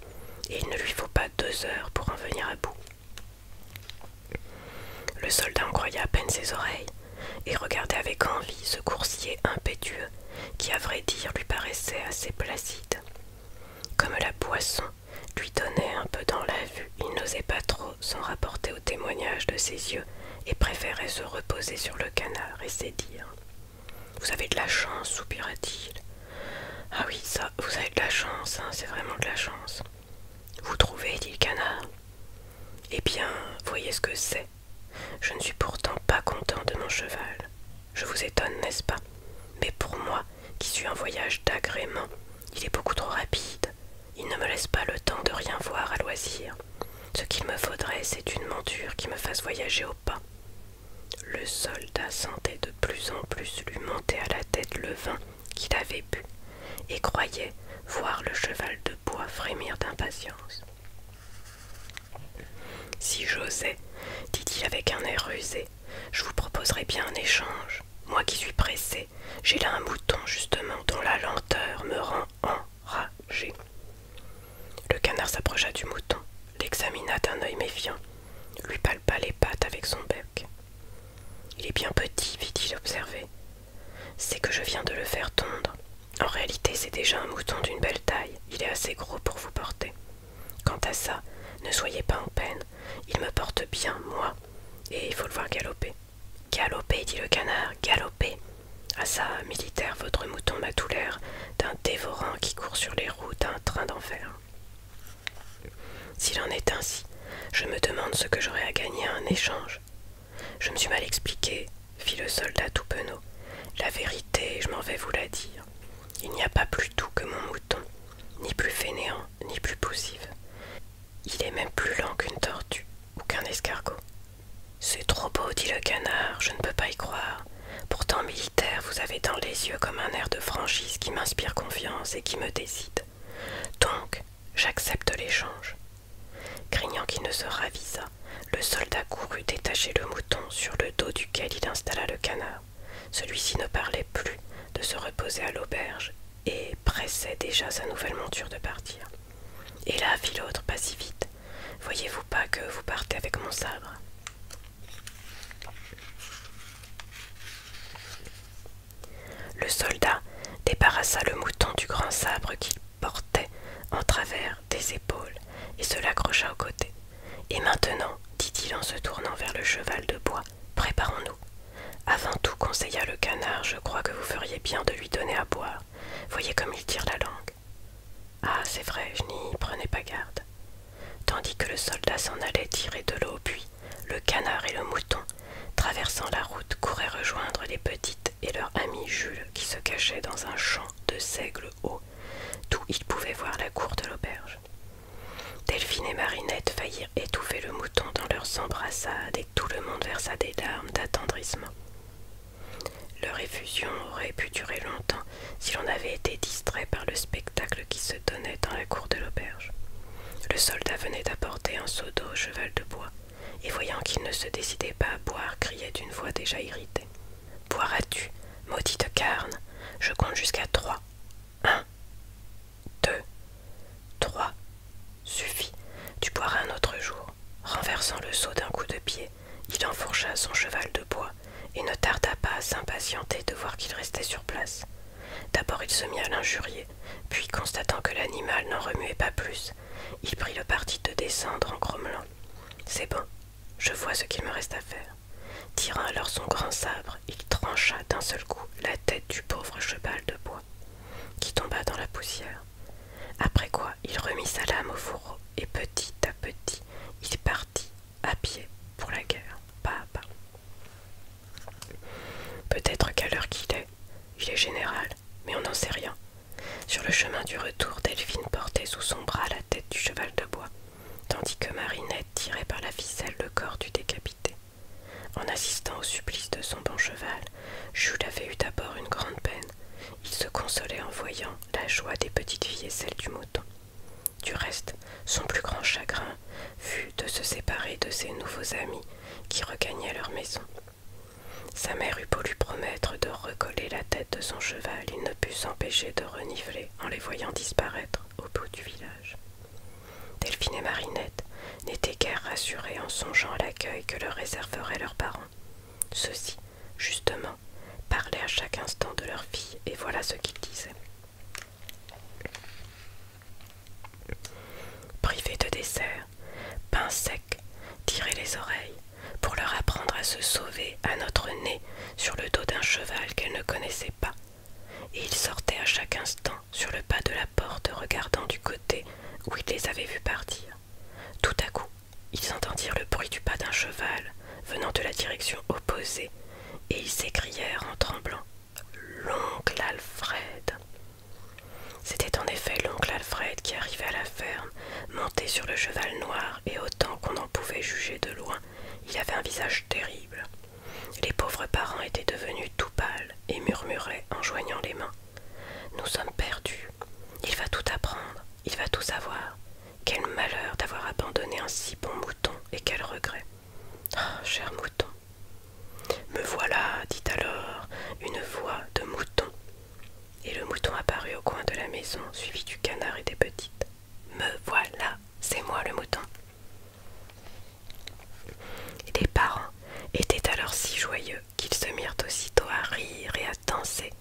et il ne lui faut pas deux heures pour en venir à bout. Le soldat en croyait à peine ses oreilles et regardait avec envie ce coursier impétueux qui, à vrai dire, lui paraissait assez placide. Comme la poisson lui donnait un peu dans la vue, il n'osait pas trop s'en rapporter au témoignage de ses yeux et préférait se reposer sur le canard et ses Vous avez de la chance, soupira-t-il. Ah oui, ça, vous avez de la chance, hein, c'est vraiment de la chance. Vous trouvez, dit le canard. Eh bien, voyez ce que c'est. Je ne suis pourtant pas content de mon cheval. Je vous étonne, n'est-ce pas Mais pour moi, qui suis un voyage d'agrément, il est beaucoup trop rapide. Il ne me laisse pas le temps de rien voir à loisir. Ce qu'il me faudrait, c'est une monture qui me fasse voyager au pas. Le soldat sentait de plus en plus lui monter à la tête le vin qu'il avait bu, et croyait voir le cheval de bois frémir d'impatience. Si j'osais, dit-il avec un air rusé, je vous proposerais bien un échange. Moi qui suis pressé, j'ai là un mouton justement dont la lenteur me rend enragé. Le canard s'approcha du mouton, l'examina d'un œil méfiant, lui palpa les pattes avec son bec. Il est bien petit, fit-il observer. C'est que je viens de le faire tondre. En réalité, c'est déjà un mouton d'une belle taille. Il est assez gros pour vous porter. Quant à ça, ne soyez pas en peine. Il me porte bien, moi. Et il faut le voir galoper. Galoper, dit le canard, galoper. Ah ça, militaire, votre mouton m'a tout l'air d'un dévorant qui court sur les routes d'un train d'enfer. S'il en est ainsi, je me demande ce que j'aurais à gagner à un échange. Je me suis mal expliqué, fit le soldat tout La vérité, je m'en vais vous la dire. Il n'y a pas plus doux que mon mouton, ni plus fainéant, ni plus poussif. Il est même plus lent qu'une tortue ou qu'un escargot. C'est trop beau, dit le canard, je ne peux pas y croire. Pourtant militaire, vous avez dans les yeux comme un air de franchise qui m'inspire confiance et qui me décide. Donc, j'accepte l'échange. Craignant qu'il ne se ravisa, le soldat courut détacher le mouton sur le dos duquel il installa le canard. Celui-ci ne parlait plus de se reposer à l'auberge et pressait déjà sa nouvelle monture de partir. Et là, fit l'autre, pas si vite. Voyez-vous pas que vous partez avec mon sabre le soldat débarrassa le mouton du grand sabre qu'il portait en travers des épaules et se l'accrocha au côté. Et maintenant, dit-il en se tournant vers le cheval de bois, préparons-nous. Avant tout, conseilla le canard, je crois que vous feriez bien de lui donner à boire. Voyez comme il tire la langue. Ah, c'est vrai, je n'y prenais pas garde tandis que le soldat s'en allait tirer de l'eau au puits, le canard et le mouton, traversant la route, couraient rejoindre les petites et leur ami Jules qui se cachaient dans un champ de seigle haut, d'où ils pouvaient voir la cour de l'auberge. Delphine et Marinette faillirent étouffer le mouton dans leurs embrassades et tout le monde versa des larmes d'attendrissement. Leur effusion aurait pu durer longtemps si l'on avait été distrait par le spectacle qui se donnait dans la cour de l'auberge. Le soldat venait d'apporter un seau d'eau au cheval de bois, et voyant qu'il ne se décidait pas à boire, criait d'une voix déjà irritée. Boiras-tu, maudite carne Je compte jusqu'à trois. Un, deux, trois. Suffit, tu boiras un autre jour. Renversant le seau d'un coup de pied, il enfourcha son cheval de bois et ne tarda pas à s'impatienter de voir qu'il restait sur place. D'abord il se mit à l'injurier, puis constatant que l'animal n'en remuait pas plus, il prit le parti de descendre en grommelant. C'est bon, je vois ce qu'il me reste à faire. Tirant alors son grand sabre, il trancha d'un seul coup la tête du pauvre cheval de bois, qui tomba dans la poussière. Après quoi, il remit sa lame au fourreau, et petit à petit, il partit à pied pour la guerre, pas à pas. Peut-être qu'à l'heure qu'il est, il est général, mais on n'en sait rien. Sur le chemin du retour, Delphine portait sous son bras la tête du cheval de bois, tandis que Marinette tirait par la ficelle le corps du décapité. En assistant au supplice de son bon cheval, Jules avait eu d'abord une grande peine. Il se consolait en voyant la joie des petites filles et celle du mouton. Du reste, son plus grand chagrin fut de se séparer de ses nouveaux amis qui regagnaient leur maison. Sa mère eut beau lui promettre de recoller la tête de son cheval, il ne put s'empêcher de reniveler en les voyant disparaître au bout du village. Delphine et Marinette n'étaient guère rassurées en songeant à l'accueil que leur réserveraient leurs parents. Ceux-ci, justement, parlaient à chaque instant de leur vie et voilà ce qu'ils disaient. Privé de dessert, pain sec, tirait les oreilles, pour leur apprendre à se sauver à notre nez sur le dos d'un cheval qu'elle ne connaissaient pas. Et ils sortaient à chaque instant sur le pas de la porte, regardant du côté où ils les avaient vus partir. Tout à coup, ils entendirent le bruit du pas d'un cheval venant de la direction opposée, et ils s'écrièrent en tremblant l'oncle Alfred. C'était en effet l'oncle Alfred qui arrivait à la ferme, monté sur le cheval noir, et autant qu'on en pouvait juger de loin, il avait un visage terrible. Les pauvres parents étaient devenus tout pâles et murmuraient en joignant les mains. Nous sommes perdus. Il va tout apprendre, il va tout savoir. Quel malheur d'avoir abandonné un si bon mouton et quel regret. Ah, cher mouton. Me voilà, dit alors une voix de mouton. Et le mouton apparut au coin de la maison, suivi du canard et des petites. Me voilà, c'est moi le mouton. Les parents étaient alors si joyeux qu'ils se mirent aussitôt à rire et à danser.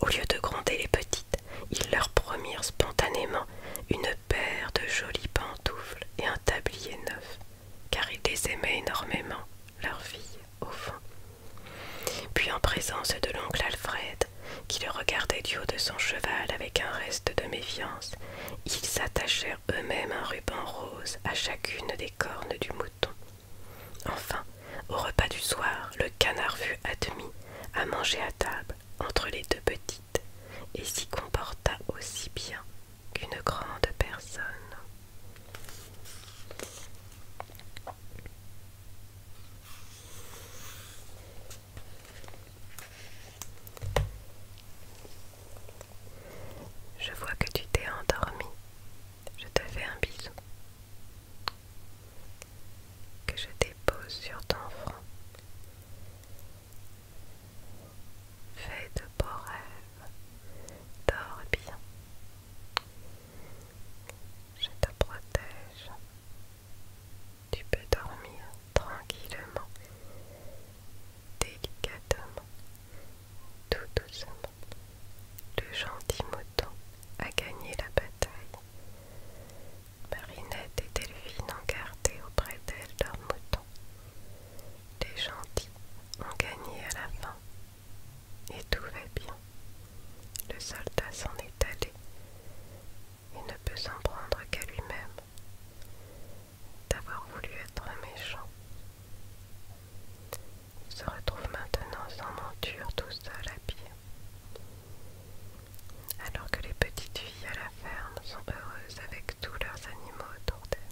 Au lieu de gronder les petites, ils leur promirent spontanément une paire de jolies pensées et un tablier neuf, car ils les aimait énormément, leur vie au fond. Puis en présence de l'oncle Alfred, qui le regardait du haut de son cheval avec un reste de méfiance, ils attachèrent eux-mêmes un ruban rose à chacune des cornes du mouton. Enfin, au repas du soir, le canard fut admis à manger à table entre les deux petits et s'y comporta aussi bien qu'une grande personne. Je vois que tu t'es endormi. Je te fais un bisou. Que je dépose sur ton front. Fais de beaux rêves, dors bien. Je te protège. Tu peux dormir tranquillement, délicatement, tout doucement. Le gentil mouton a gagné la bataille. Marinette et Delphine ont gardé auprès d'elle leur mouton. Les gentils ont gagné à la fin, et tout va bien. Le soldat s'en est allé, et ne peut s'en prendre qu'à lui-même d'avoir voulu être méchant. Il se retrouve maintenant sans monture tout seul à pied. Alors que les petites filles à la sont heureuses avec tous leurs animaux autour d'elles.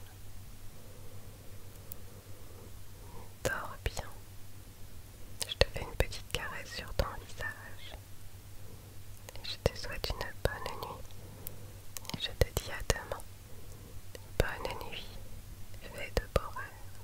Dors bien. Je te fais une petite caresse sur ton visage. Je te souhaite une bonne nuit. Je te dis à demain. Bonne nuit. Fais de beaux rêves.